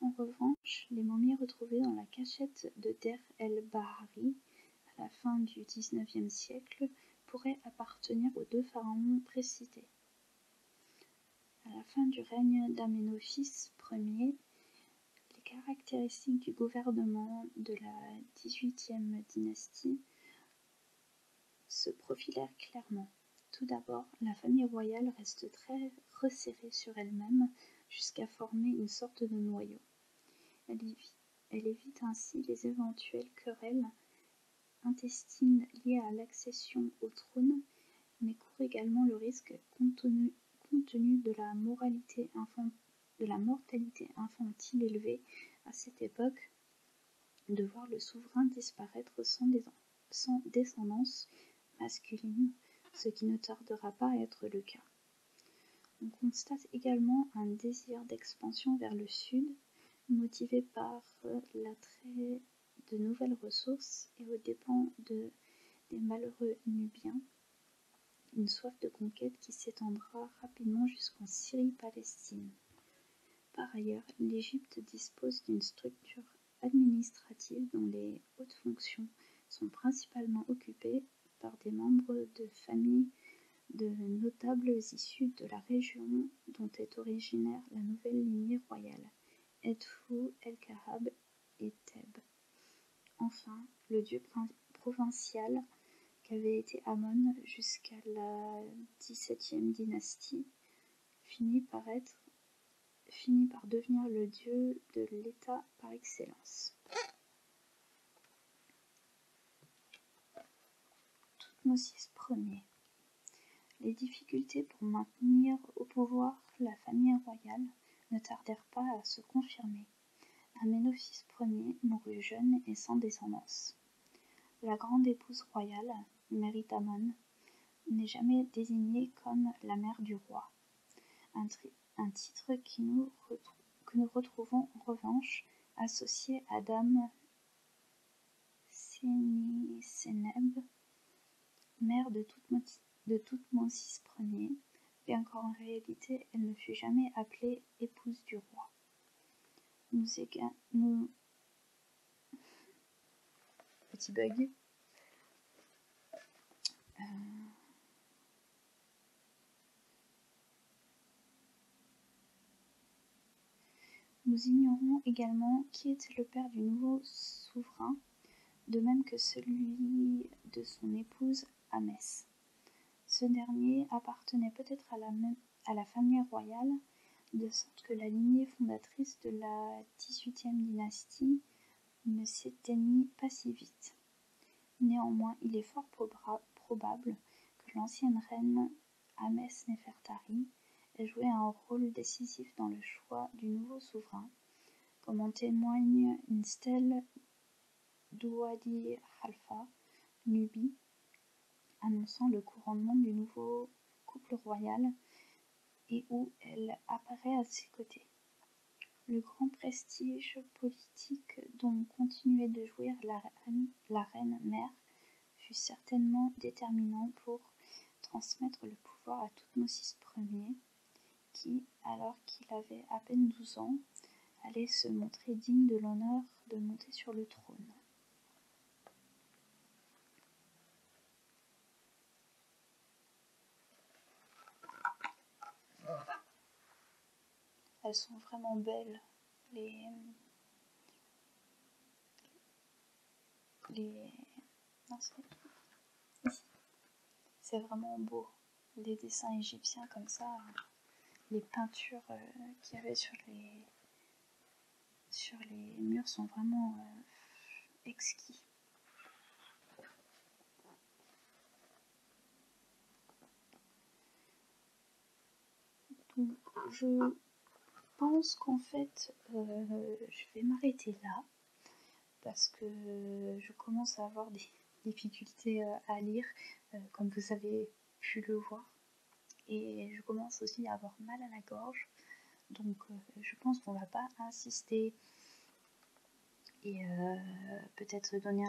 En revanche, les momies retrouvées dans la cachette de Der el-Bahari à la fin du XIXe siècle, pourrait appartenir aux deux pharaons précités. À la fin du règne d'Amenophis Ier, les caractéristiques du gouvernement de la XVIIIe dynastie se profilèrent clairement. Tout d'abord, la famille royale reste très resserrée sur elle-même jusqu'à former une sorte de noyau. Elle vit elle évite ainsi les éventuelles querelles intestines liées à l'accession au trône, mais court également le risque, compte tenu, de, la mortalité infantile élevée à cette époque, de voir le souverain disparaître sans descendance masculine, ce qui ne tardera pas à être le cas. On constate également un désir d'expansion vers le sud, motivé par euh, l'attrait de nouvelles ressources et aux dépens des malheureux Nubiens, une soif de conquête qui s'étendra rapidement jusqu'en Syrie-Palestine. Par ailleurs, l'Égypte dispose d'une structure administrative dont les hautes fonctions sont principalement occupées par des membres de familles de notables issus de la région dont est originaire la nouvelle lignée royale, Edfu, El-Kahab et Thèbes. Enfin, le dieu provincial qu'avait été Amon jusqu'à la XVIIe dynastie finit par devenir le dieu de l'État par excellence. Toutmosis Ier. Les difficultés pour maintenir au pouvoir la famille royale ne tardèrent pas à se confirmer. Amenophis Ier mourut jeune et sans descendance. La grande épouse royale, Méritamon, n'est jamais désignée comme la mère du roi un titre qui nous que nous retrouvons en revanche associé à Dame Sénéb mère de toutes de Toutmosis et encore en réalité elle ne fut jamais appelée épouse du roi. Nous, Petit bug. Euh, nous ignorons également qui était le père du nouveau souverain, de même que celui de son épouse Amès. Ce dernier appartenait peut-être à, la, famille royale, de sorte que la lignée fondatrice de la XVIIIe dynastie ne s'éteignit pas si vite. Néanmoins, il est fort probable que l'ancienne reine amès Nefertari ait joué un rôle décisif dans le choix du nouveau souverain, comme en témoigne une stèle d'Ouadi Halfa, Nubie, annonçant le couronnement du nouveau couple royal et où elle apparaît à ses côtés. Le grand prestige politique dont continuait de jouir la la reine mère fut certainement déterminante pour transmettre le pouvoir à six Ier, qui, alors qu'il avait à peine 12 ans, allait se montrer digne de l'honneur de monter sur le trône. Elles sont vraiment belles. Les, les, non, c'est vraiment beau. Les dessins égyptiens comme ça, les peintures euh, qu'il y avait sur les, sur les murs sont vraiment euh, exquis. Donc je pense qu'en fait euh, je vais m'arrêter là parce que je commence à avoir des difficultés euh, à lire euh, comme vous avez pu le voir et je commence aussi à avoir mal à la gorge donc je pense qu'on va pas insister et peut-être donner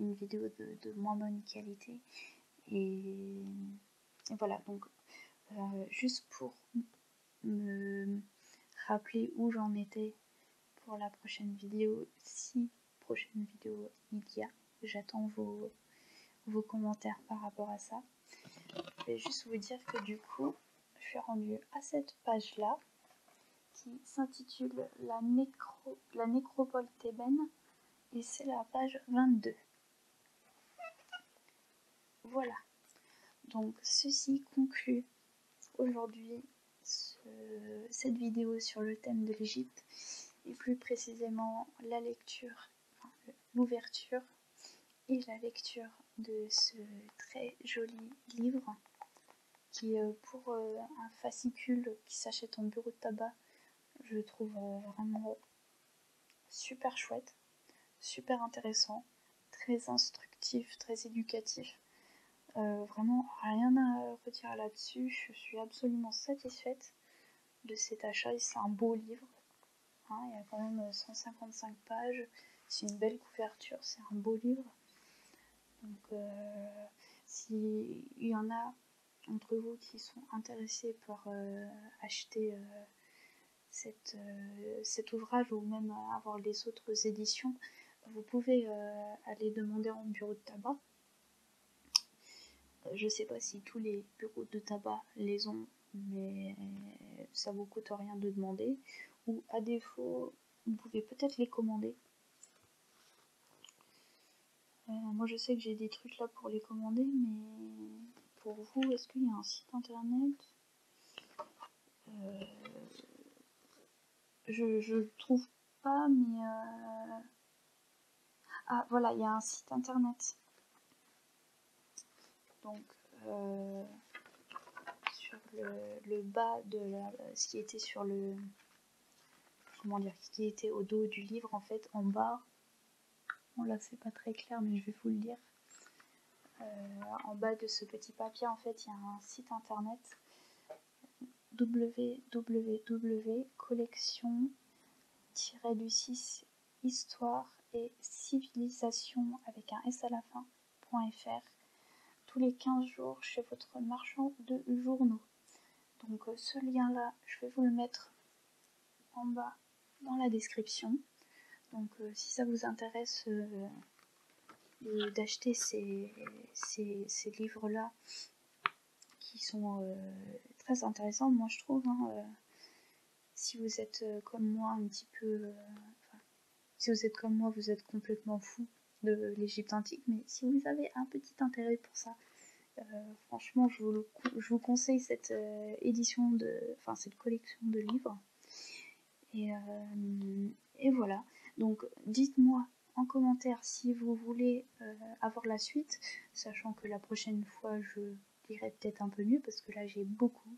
une vidéo de moins bonne qualité et, voilà, donc euh, juste pour me rappeler où j'en étais pour la prochaine vidéo, si prochaine vidéo il y a, j'attends vos, vos commentaires par rapport à ça. Je vais juste vous dire que du coup, je suis rendue à cette page-là qui s'intitule la, la nécropole thébaine et c'est la page 22. Voilà. Donc ceci conclut aujourd'hui cette vidéo sur le thème de l'Égypte et plus précisément la lecture, l'ouverture et la lecture de ce très joli livre qui est pour euh, un fascicule qui s'achète en bureau de tabac je trouve euh, vraiment super chouette, super intéressant, très instructif, très éducatif. Euh, vraiment rien à retirer là-dessus. Je suis absolument satisfaite de cet achat. C'est un beau livre. Hein. il y a quand même 155 pages. C'est une belle couverture. C'est un beau livre. Donc, euh, s'il y en a entre vous qui sont intéressés par euh, acheter euh, euh, cet ouvrage ou même avoir les autres éditions, vous pouvez aller demander en bureau de tabac. Je sais pas si tous les bureaux de tabac les ont, mais ça vous coûte rien de demander. Ou à défaut, vous pouvez peut-être les commander. Euh, moi je sais que j'ai des trucs là pour les commander, mais pour vous, est-ce qu'il y a un site internet euh, Je ne je trouve pas, mais... Euh, ah voilà, il y a un site internet. Donc... sur le, le bas de ce qui était sur le, comment dire, qui était au dos du livre en fait, en bas. bon là c'est pas très clair mais je vais vous le lire. Euh, en bas de ce petit papier en fait il y a un site internet wwwcollection histoire et civilisation avec un S à la fin.fr tous les 15 jours chez votre marchand de journaux. Donc euh, ce lien-là, je vais vous le mettre en bas dans la description. Donc euh, si ça vous intéresse euh, d'acheter ces, ces, livres-là, qui sont très intéressants, moi je trouve, hein, si vous êtes comme moi un petit peu... si vous êtes comme moi, vous êtes complètement fou de l'Égypte antique, mais si vous avez un petit intérêt pour ça, euh, franchement, je vous, conseille cette euh, édition de, enfin cette collection de livres. Euh, et, voilà. Donc, dites-moi en commentaire si vous voulez avoir la suite, sachant que la prochaine fois je dirai peut-être un peu mieux parce que là j'ai beaucoup,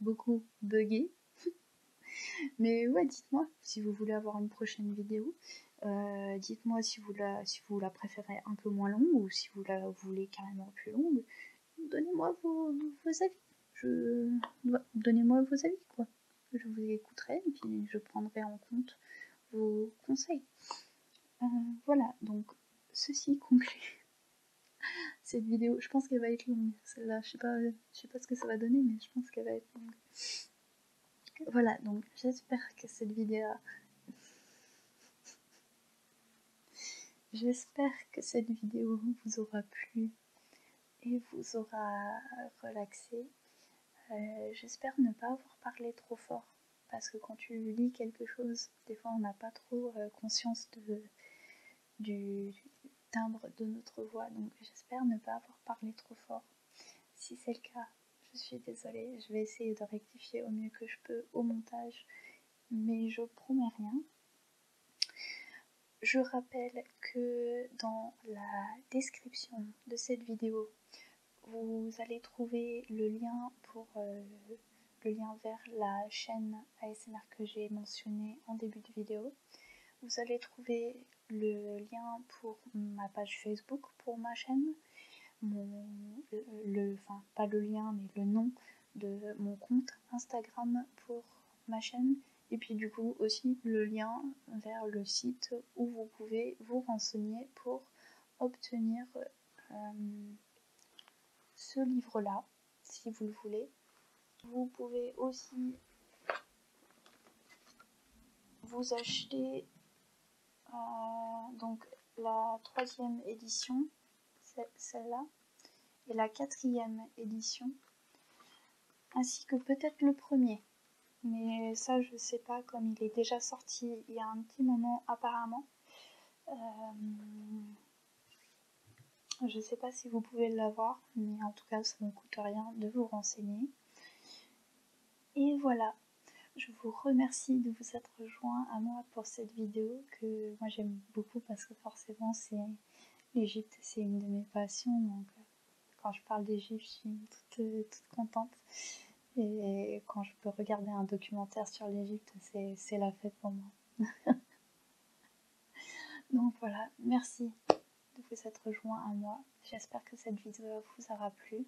beaucoup buggé, Mais ouais, dites-moi si vous voulez avoir une prochaine vidéo. Euh, dites-moi si, vous la, préférez un peu moins longue ou si vous la voulez carrément plus longue. Donnez-moi vos, avis. Je... Donnez-moi vos avis, quoi. Je vous écouterai et puis je prendrai en compte vos conseils. Euh, voilà, donc ceci conclut cette vidéo. Je pense qu'elle va être longue. Celle-là, je sais sais pas ce que ça va donner, mais je pense qu'elle va être longue. Voilà, donc j'espère que cette vidéo... j'espère que cette vidéo vous aura plu et vous aura relaxé. Euh, j'espère ne pas avoir parlé trop fort parce que quand tu lis quelque chose, des fois on n'a pas trop euh, conscience du timbre de notre voix. Donc j'espère ne pas avoir parlé trop fort. Si c'est le cas, je suis désolée, je vais essayer de rectifier au mieux que je peux au montage, mais je promets rien. Je rappelle que dans la description de cette vidéo, vous allez trouver le lien pour euh, le lien vers la chaîne ASMR que j'ai mentionné en début de vidéo. Vous allez trouver le lien pour ma page Facebook pour ma chaîne mon, le, enfin pas le lien mais le nom de mon compte Instagram pour ma chaîne et puis du coup aussi le lien vers le site où vous pouvez vous renseigner pour obtenir euh, ce livre là si vous le voulez. Vous pouvez aussi vous acheter euh, donc la troisième édition, celle-là, et la quatrième édition, ainsi que peut-être le premier. Mais ça, je sais pas, comme il est déjà sorti il y a un petit moment apparemment. je euh, je sais pas si vous pouvez l'avoir, mais en tout cas, ça ne coûte rien de vous renseigner. Et voilà, je vous remercie de vous être rejoint à moi pour cette vidéo que moi j'aime beaucoup parce que forcément c'est l'Égypte, c'est une de mes passions. Donc euh, quand je parle d'Égypte, je suis euh, toute, contente. Et quand je peux regarder un documentaire sur l'Égypte, c'est la fête pour moi. donc voilà, merci de vous être rejoint à moi J'espère que cette vidéo vous aura plu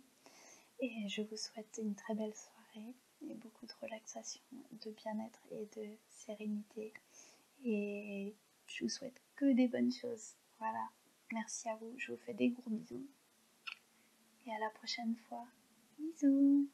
et je vous souhaite une très belle soirée et beaucoup de relaxation, de bien-être et de sérénité. Et je vous souhaite que des bonnes choses. Voilà, merci à vous, je vous fais des gros bisous. Et à la prochaine fois. Bisous